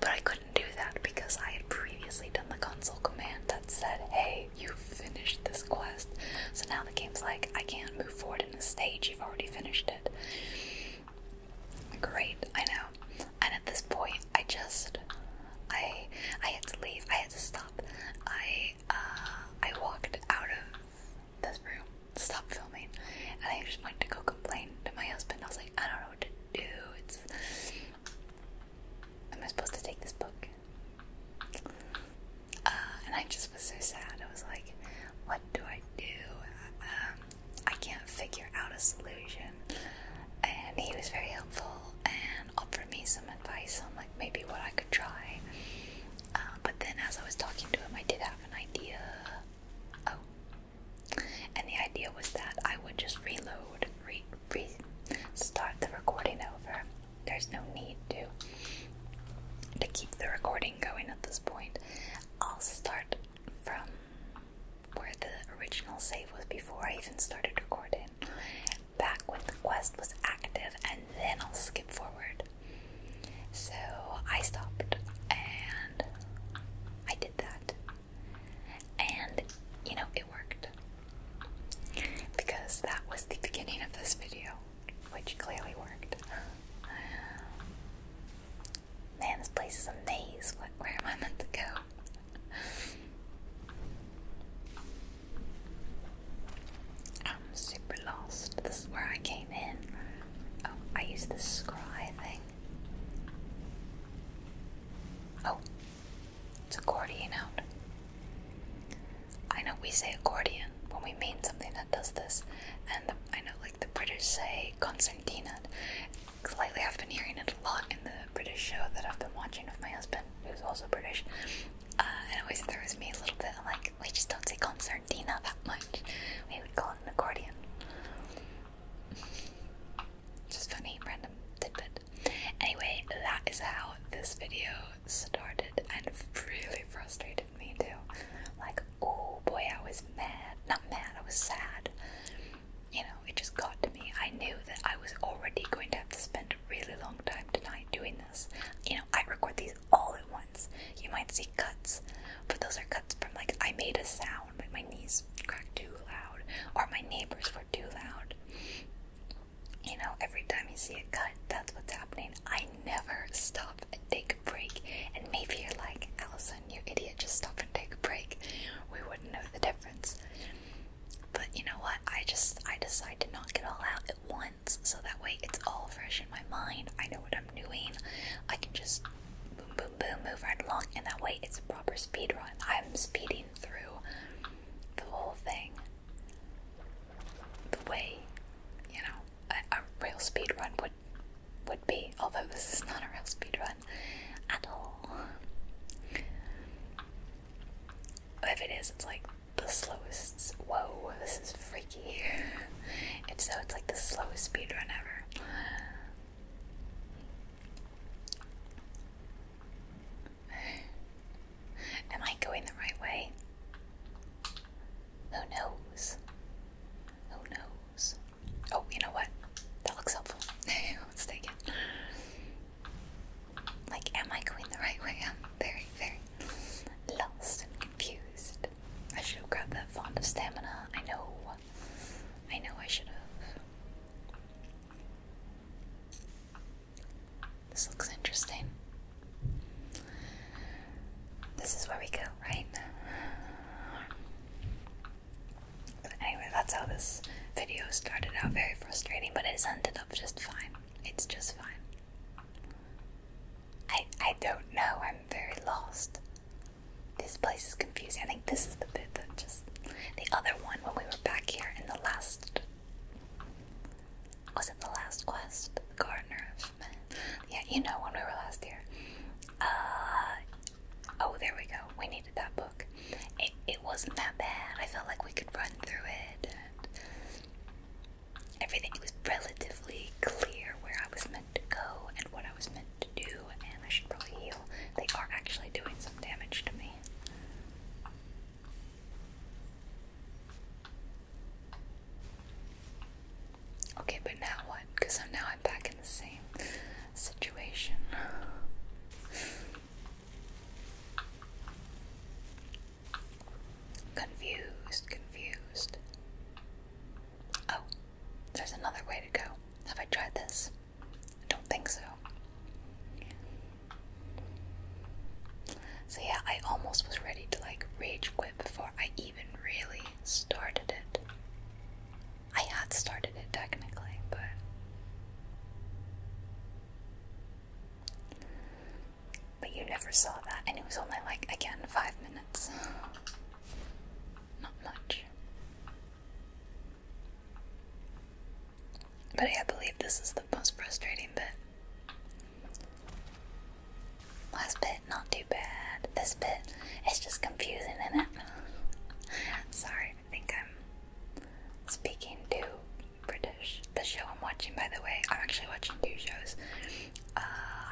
but I couldn't couldn't do that because I had previously done the console command that said, hey, you've finished this quest. So now the game's like, I can't move forward in the stage, you've already finished it. Great, I know. And at this point, I just, I, I had to leave. I had to stop. I, uh, I walked out of this room, stopped filming, and I just went to go complain to my husband. I was like. I don't know what to do. It's Am I supposed to take this book? Uh, and I just was so sad. I was like, what do I do? Um, I can't figure out a solution. And he was very helpful and offered me some advice on like maybe what I could try. Uh, but then as I was talking to him, I did have an idea. Oh, and the idea was that I would just reload, re, start the recording over. There's no need to to keep the recording going at this point. I'll start from where the original save was before I even started recording. Back when the quest was active and then I'll skip forward. So I stopped and I did that. And you know, it worked. Because that was the beginning of this video, which clearly worked. Man, this place is amazing. where am I meant to go? I'm super lost. This is where I came in. Oh, I used this scry thing. Oh, it's a accordion out. I know we say accordion when we mean something that does this, and I know like the British say concertina. Cause lately I've been hearing it a lot in the British show that I've been watching with my husband, who's also British. Uh, and it always throws me a little bit. like, we just don't say concertina that much. We would call it an accordion. Just funny, random tidbit. Anyway, that is how this video started and really frustrated me too. Like, oh boy, I was mad. Not mad, I was sad. You know, it just got to me. I knew that I was already going to have to spend a really long time tonight doing this. You know, I record these all at once. You might see cuts, but those are cuts from like I made a sound my knees crack too loud, or my neighbors were too loud. You know, every time you see a cut, that's what's happening. I never stop and take a break. And maybe you're like, Allison, you idiot, just stop and take a break. We wouldn't know the difference. But you know what? I just I decide to not get all out at once so that way it's all fresh in my mind. I know what I'm doing. I can just boom boom boom, move right along, and that way it's a proper speed run. I'm speeding through the whole thing the way you know a, a real speed run would would be. Although this is not a real speed run at all. If it is, it's like the slowest. Whoa, this is freaky. If so, it's like the slowest speed run ever. Am I going the right way? Who knows? Who knows? Oh, you know what? That looks helpful. Let's take it. Like, am I going the right way? I'm very, very lost and confused. I should have grabbed that font of stamina. I know. I know I should have. This looks interesting. This is where we go, right? now. anyway, that's how this video started out very frustrating, but it's ended up just fine. It's just fine. I I don't know, I'm very lost. This place is confusing. I think this is the bit that just the other one when we were back here in the last was it the last quest? Gardener Yeah, you know when we were last here. Uh oh there we go. We needed that book. It it wasn't that bad. I felt like we could run through it everything was relatively clear where I was meant to go and what I was meant to do, and I should probably heal. They are actually doing some damage to me. Okay, but now what? Because now I'm back in the same situation. Confused, confused. Oh, there's another way to go. Have I tried this? I don't think so. So yeah, I almost was ready to like rage quit before I even really started it. I had started it technically, but but you never saw that, and it was only like again five minutes. Not much. But I believe this is the most frustrating bit. Last bit, not too bad. This bit, it's just confusing, isn't it? Sorry, I think I'm speaking too British. The show I'm watching, by the way, I'm actually watching two shows. Uh,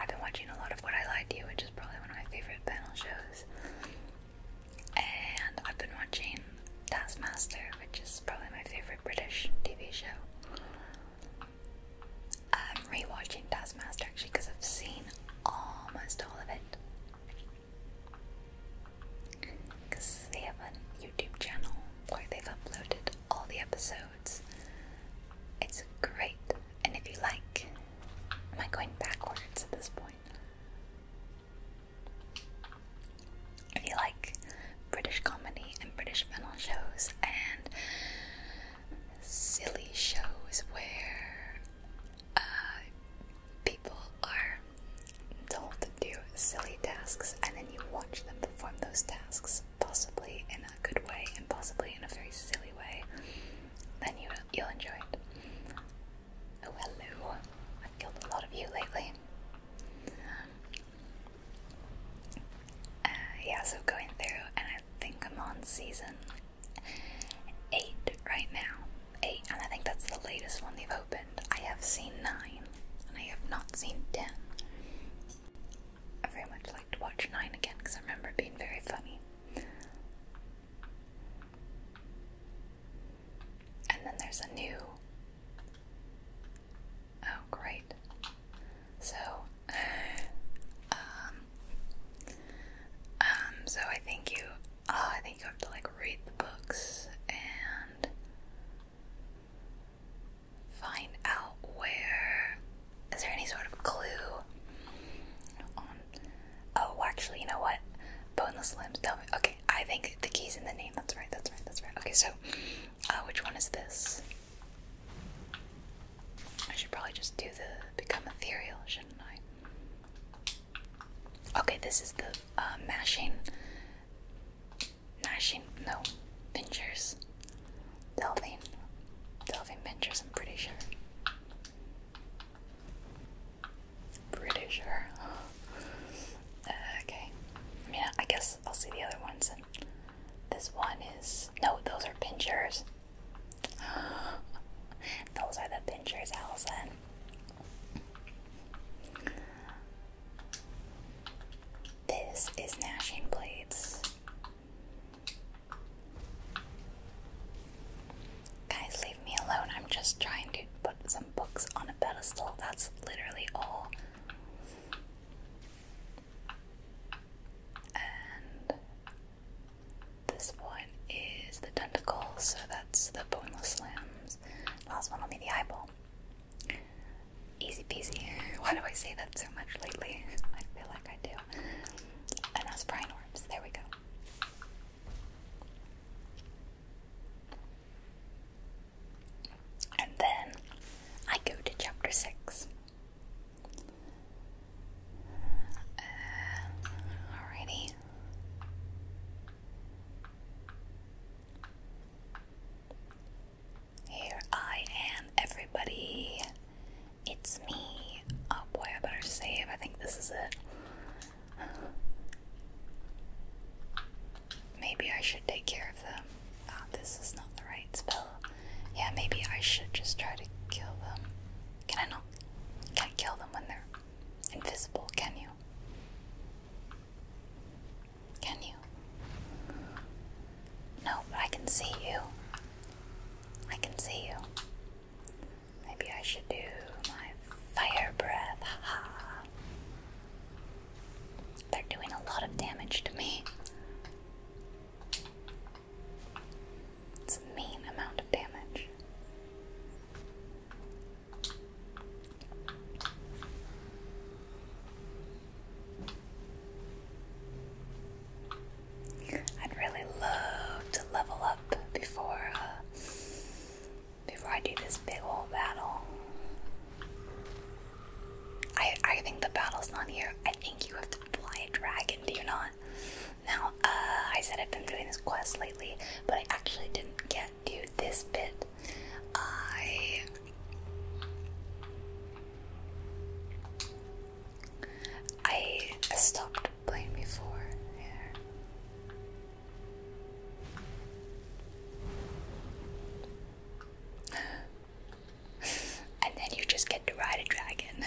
I've been watching a lot of What I Lied to You, which is probably one of my favorite panel shows and I've been watching Taskmaster, which is probably my favorite British TV show. I'm rewatching Taskmaster actually because I've seen almost all of it. Because they have a YouTube channel where they've uploaded all the episodes. It's great, and if you like, am I going backwards at this point? If you like British comedy and British panel shows and silly shows where uh, people are told to do silly tasks and then you watch them perform those tasks, possibly in a good way and possibly in a very silly way, then you'll enjoy it. Oh, hello. I've killed a lot of you lately. Uh, yeah, so going through, and I think I'm on season 8 right now. 8, and I think that's the latest one they've opened. I have seen 9, and I have not seen 10. I very much like to watch 9 again because I remember being very funny. And then there's a new. Oh, great. So, um, um, so I think you, oh, I think you have to like read the books and find out where. Is there any sort of clue on Oh, actually, you know what? Boneless limbs. Tell me. Okay, I think the key's in the name. That's right. That's right. That's right. Okay, so uh, which one is this? I should probably just do the become ethereal, shouldn't I? Okay, this is the uh, mashing, mashing. No, pinchers, delving, delving pinchers. I'm pretty sure. Pretty sure. Uh, okay. I I guess I'll see the other ones. And this one is no; those are pinchers. those are the pinchers, Allison. This is gnashing blades. Guys, me alone. I'm just trying to put some books on a pedestal. That's literally all. And this one is the tentacles, so that's the pointless slams. Last one will be the eyeball. Easy peasy. Why do I say that so much lately? I feel like I do. And that's brine orbs. There we go. And then I go to chapter 6. Uh, alrighty. Here I am, everybody. It's me. Oh boy, I better save. I think this is it. Maybe I should take care of them. Ah, this is not the right spell. Yeah, maybe I should just try to kill them. Can I not? Can't kill them when they're invisible, can you? Can you? No, but I can see you. I can see you. Maybe I should do my fire breath. Haha. They're doing a lot of damage to me. It's a mean amount of damage. I'd really love to level up before uh, before I do this big old battle. I I think the battle's not here. I think you have to fly a dragon, do you not? Now, uh, I said I've been doing this quest lately, but I actually didn't get to this bit. I I stopped playing before. and then you just get to ride a dragon.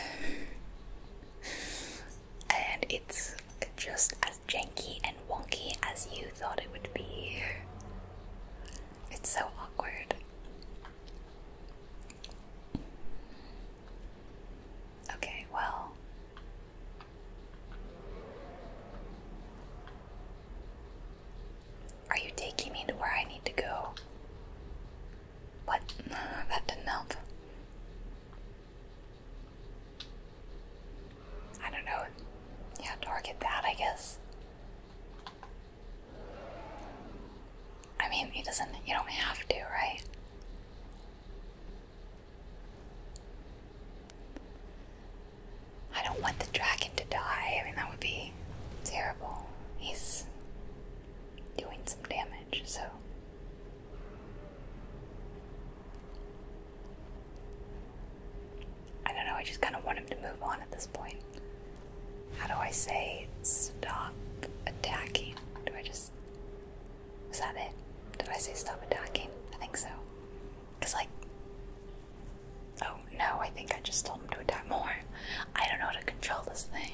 and it's just as janky and wonky as you thought it would be. It's so awkward. Okay, well, are you taking me to where I need to go? What? that didn't help. I don't know. Yeah, target that, I guess. I mean, he doesn't. You don't have to, right? I don't want the dragon to die. I mean, that would be terrible. He's doing some damage, so. I don't know, I just kind of want him to move on at this point. How do I say stop attacking? Do I just. Was that it? Did I say stop attacking? I think so. Cause like, oh no, I think I just told him to attack more. I don't know how to control this thing.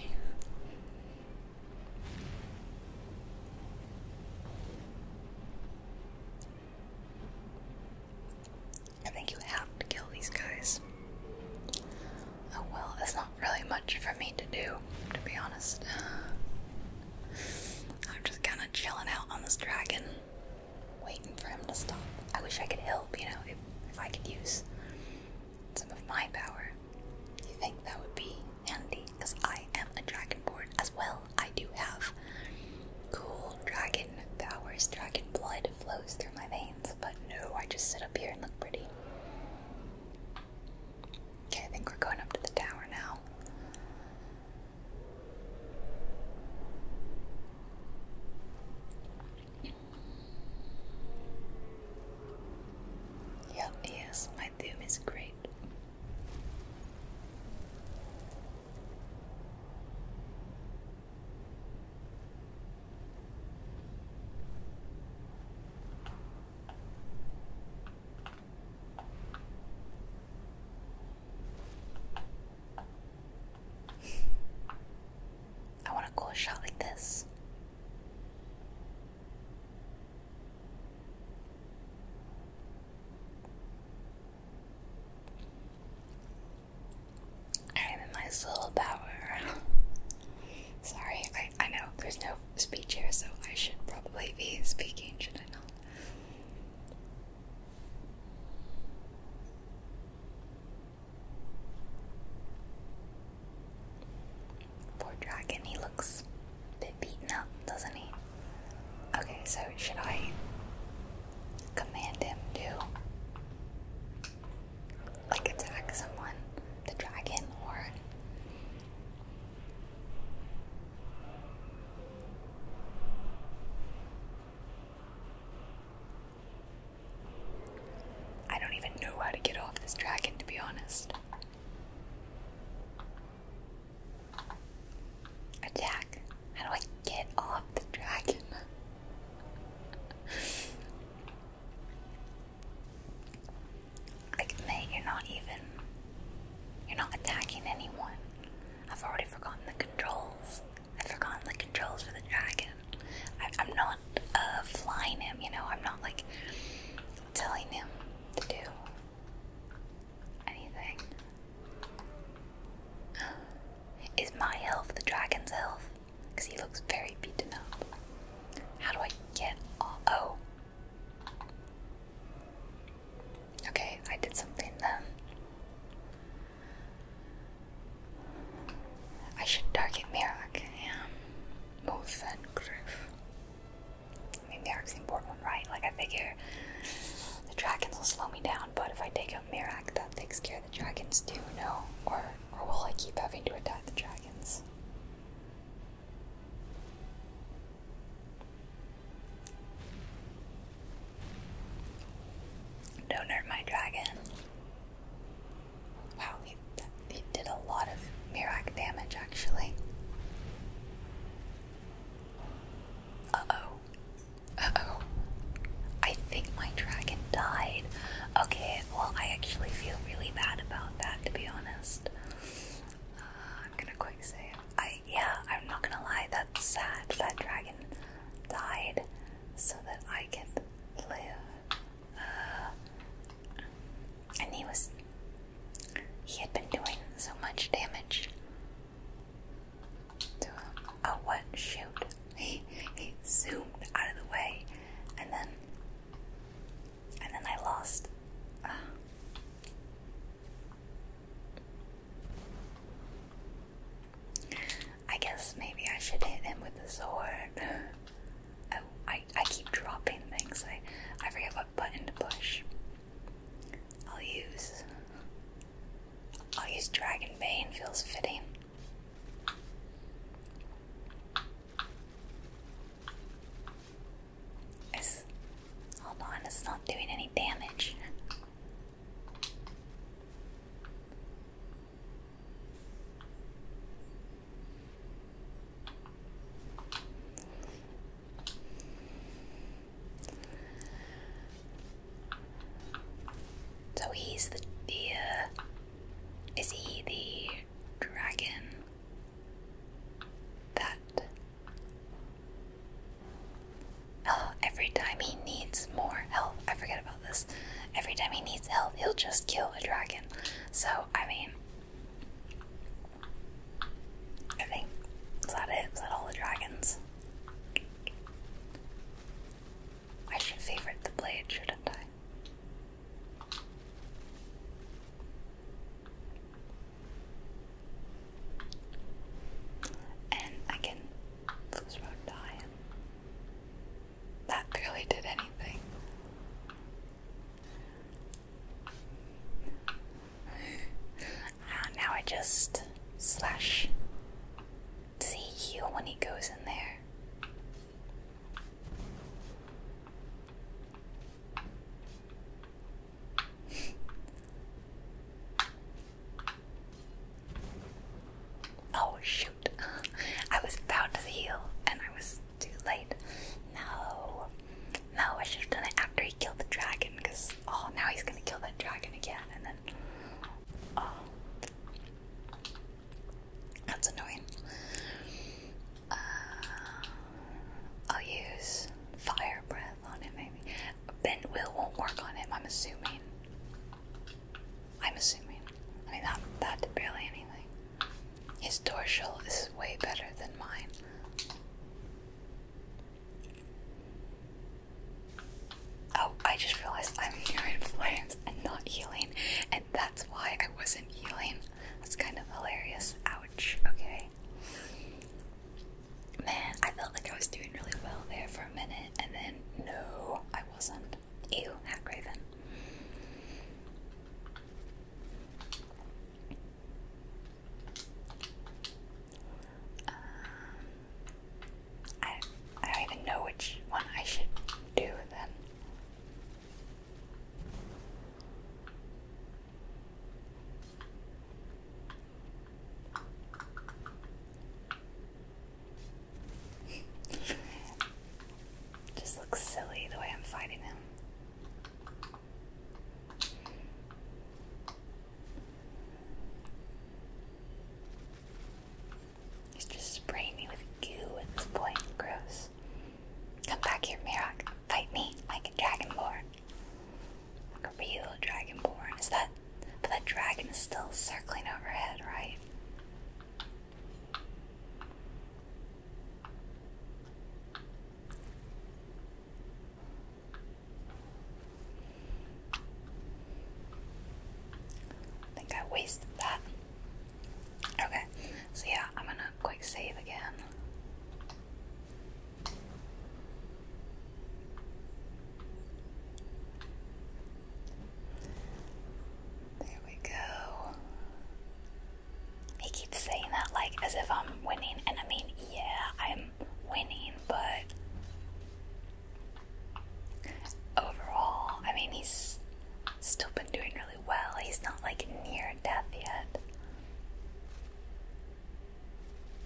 I think you have to kill these guys. Oh well, that's not really much for me to do, to be honest. I'm just kind of chilling out on this dragon waiting for him to stop. I wish I could help, you know, if, if I could use some of my power. You think that would be handy? Because I am a dragonborn as well. I do have cool dragon powers. Dragon blood flows through my veins, but no, I just sit up here and look pretty. Okay, I think we're going up to the tower now. Yeah, yes, my theme is great. I want a cool shot like this. I am in my soul power. Sorry, I, I know there's no speech here, so I should probably be speaking, should I not? Poor dragon, he looks a bit beaten up, doesn't he? Okay, so should I command him to like attack someone, the dragon, or I don't even know how to get off this dragon, to be honest. Attack. How do I get off the dragon? like, mate, you're not even. You're not attacking anyone. I've already forgotten the controls. I've forgotten the controls for the dragon. I, am not uh, flying him, you know. I'm not like telling him to do anything. Is my health the dragon's health? Because he looks very beaten up. How do I get off? Oh. Okay, I did something then. Um, I should target Merak, yeah. both and Griff. I mean, Merak's the important one, right? Like, I figure the dragons will slow me down, but if I take out Mirak, that takes care of the dragons too, no? Or, or will I keep having to attack the dragons? Don't hurt my dragon. Wow, he, he did a lot of Mirak damage actually. Uh oh. Uh oh. I think my dragon died. Okay, well, I actually feel really bad about that to be honest. Uh, I'm gonna quick save. I yeah, I'm not gonna lie, that's sad. That dragon died so that I could live. Uh, and he was. He had been doing so much damage to him. Oh, what? Shoot. He, he zoomed out of the way, and then. And then I lost. Uh, I guess maybe I should hit him with the sword. Oh, I, I keep dropping things. I, I forget what button to push. I'll use. I'll use Dragon feels fitting. It's. Hold on, it's not doing any damage. So he's the, the uh, is he the dragon that Oh, every time he needs more help, I forget about this. Every time he needs help, he'll just kill a dragon. So, I mean, I think, is that all the dragons? I should favorite the blade, shouldn't I? And I can Let's rock That barely did anything. Ah, now I just slash. See, he heal when he goes in there? Oh shoot! I was bound to heal and I was too late. No, no, I should have done it after he killed the dragon because oh, now he's gonna kill that dragon again and then oh, that's annoying. Uh, I'll use fire breath on him, maybe. bent will won't work on him, I'm assuming. I'm assuming. I mean, that, that did barely anything. His dorsal is way better than mine. Oh, I just realized I'm healing flames and not healing, and that's why I wasn't healing. That's kind of hilarious. Ouch. Okay. Man, I felt like I was doing really well there for a minute and then no, I wasn't. Ew, Hagraven. Um, I I don't even know which one I should do then. Just looks silly the way I'm fighting him. He's just spraying me with goo at this point. Gross. Come back here, Mirok. Fight me like a dragonborn. Like a real dragonborn. Is that but that dragon is still circling overhead, right? think I wasted that. Okay, so yeah, I'm gonna quick save again. There we go. He keeps saying that like as if I'm winning, and I mean, yeah, I'm winning, but overall, I mean, he's still been doing really well. He's not like near death yet.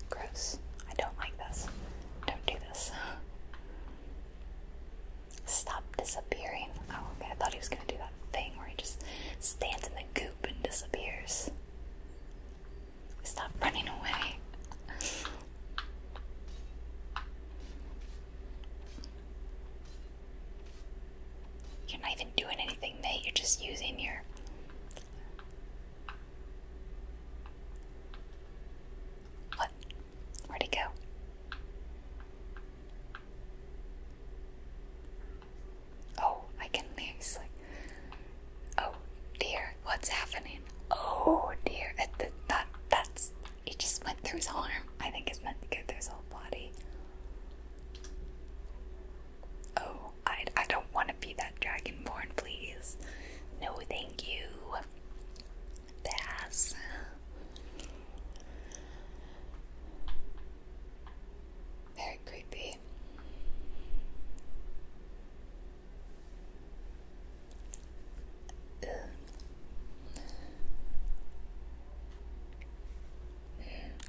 Gross. I don't like this. Don't do this. Stop disappearing. Oh, okay. I thought he was gonna do that thing where he just stands in the goop and disappears. Stop running away. You're not even doing anything, mate. You're just using your. What? Where'd he go? Oh, I can actually. Oh dear, what's happening? Oh dear, it, that, that's. It just went through his arm. I think it's meant to go through his whole body. Oh, I, I don't want to be that dragonborn, please. No, thank you. Pass. Very creepy.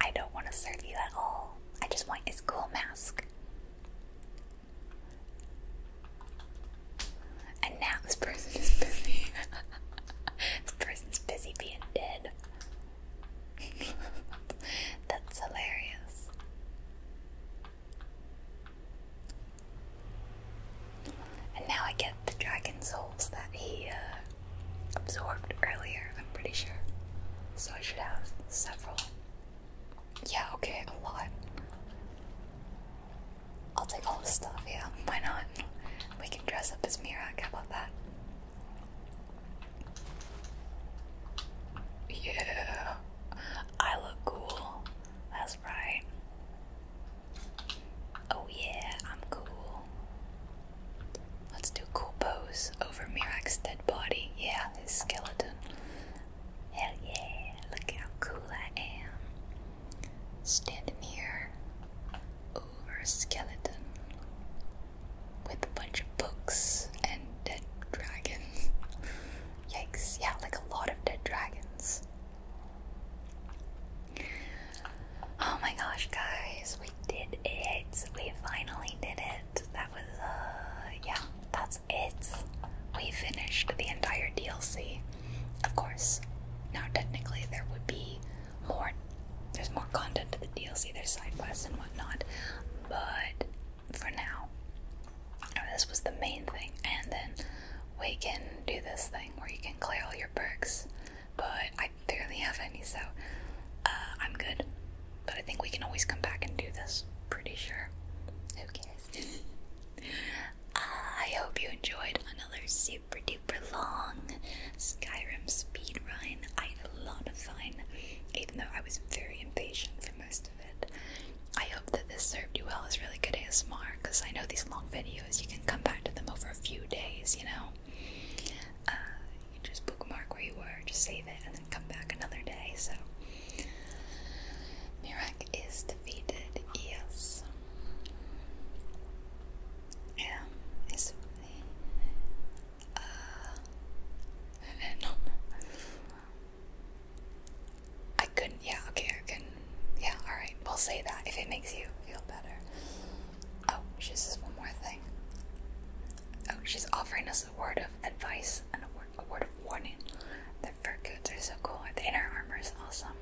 I don't want to serve you at all. I just want a school mask. And now this person is busy. this person's busy being dead. That's hilarious. And now I get the dragon souls that he uh, absorbed earlier, I'm pretty sure. So I should have several. Yeah, okay, a lot. I'll take all the stuff, yeah. Why not? We can dress up as Mirak, how about that? Yeah, I look cool. That's right. Oh yeah, I'm cool. Let's do cool pose over Mirak's dead body. Yeah, his skeleton. Hell yeah, look how cool I am. Standing here, over a skeleton with a bunch of books and dead dragons. Yikes, yeah, like a lot of dead dragons. Oh my gosh, guys, we did it. We finally did it. That was, uh, yeah, that's it. We finished the entire DLC. Of course, now technically there would be more. There's more content to the DLC. There's side quests and whatnot, but for now, this was the main thing. And then we can do this thing where you can clear all your perks, but I barely have any, so uh, I'm good. But I think we can always come back and do this. Pretty sure. Who cares? I hope you enjoyed another super duper long Skyrim speed run. I had a lot of fun, even though I was very impatient for most of it. I hope that this served you well as really good ASMR, because I know these long videos, you can come back to them over a few days, you know? Uh, you just bookmark where you were, just save it, and then come back another day, so... Mirak is defeated, yes. Yeah, it's really uh no I couldn't yeah, okay, I can yeah, alright, we'll say that if it makes you feel better. Oh, she says one more thing. Oh, she's offering us a word of advice and a word, a word of warning. Her coats are so cool. The inner armor is awesome.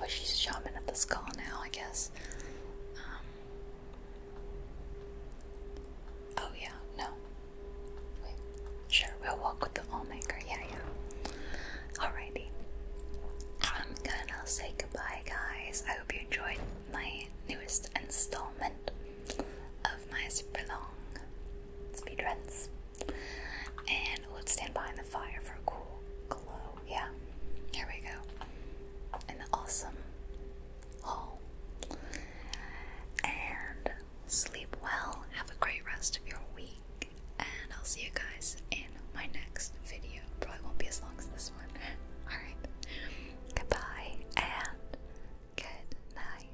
Oh, she's shopping at the skull now, I guess. Um, oh, yeah, no. Wait, sure, we'll walk with the maker. Yeah, yeah. Alrighty. I'm gonna say goodbye, guys. I hope you enjoyed my newest installment of my super long speedruns. And let's stand behind the fire for a cool glow. Yeah, here we go. In awesome hall. And sleep well. Have a great rest of your week. And I'll see you guys in my next video. Probably won't be as long as this one. Alright. Goodbye and good night.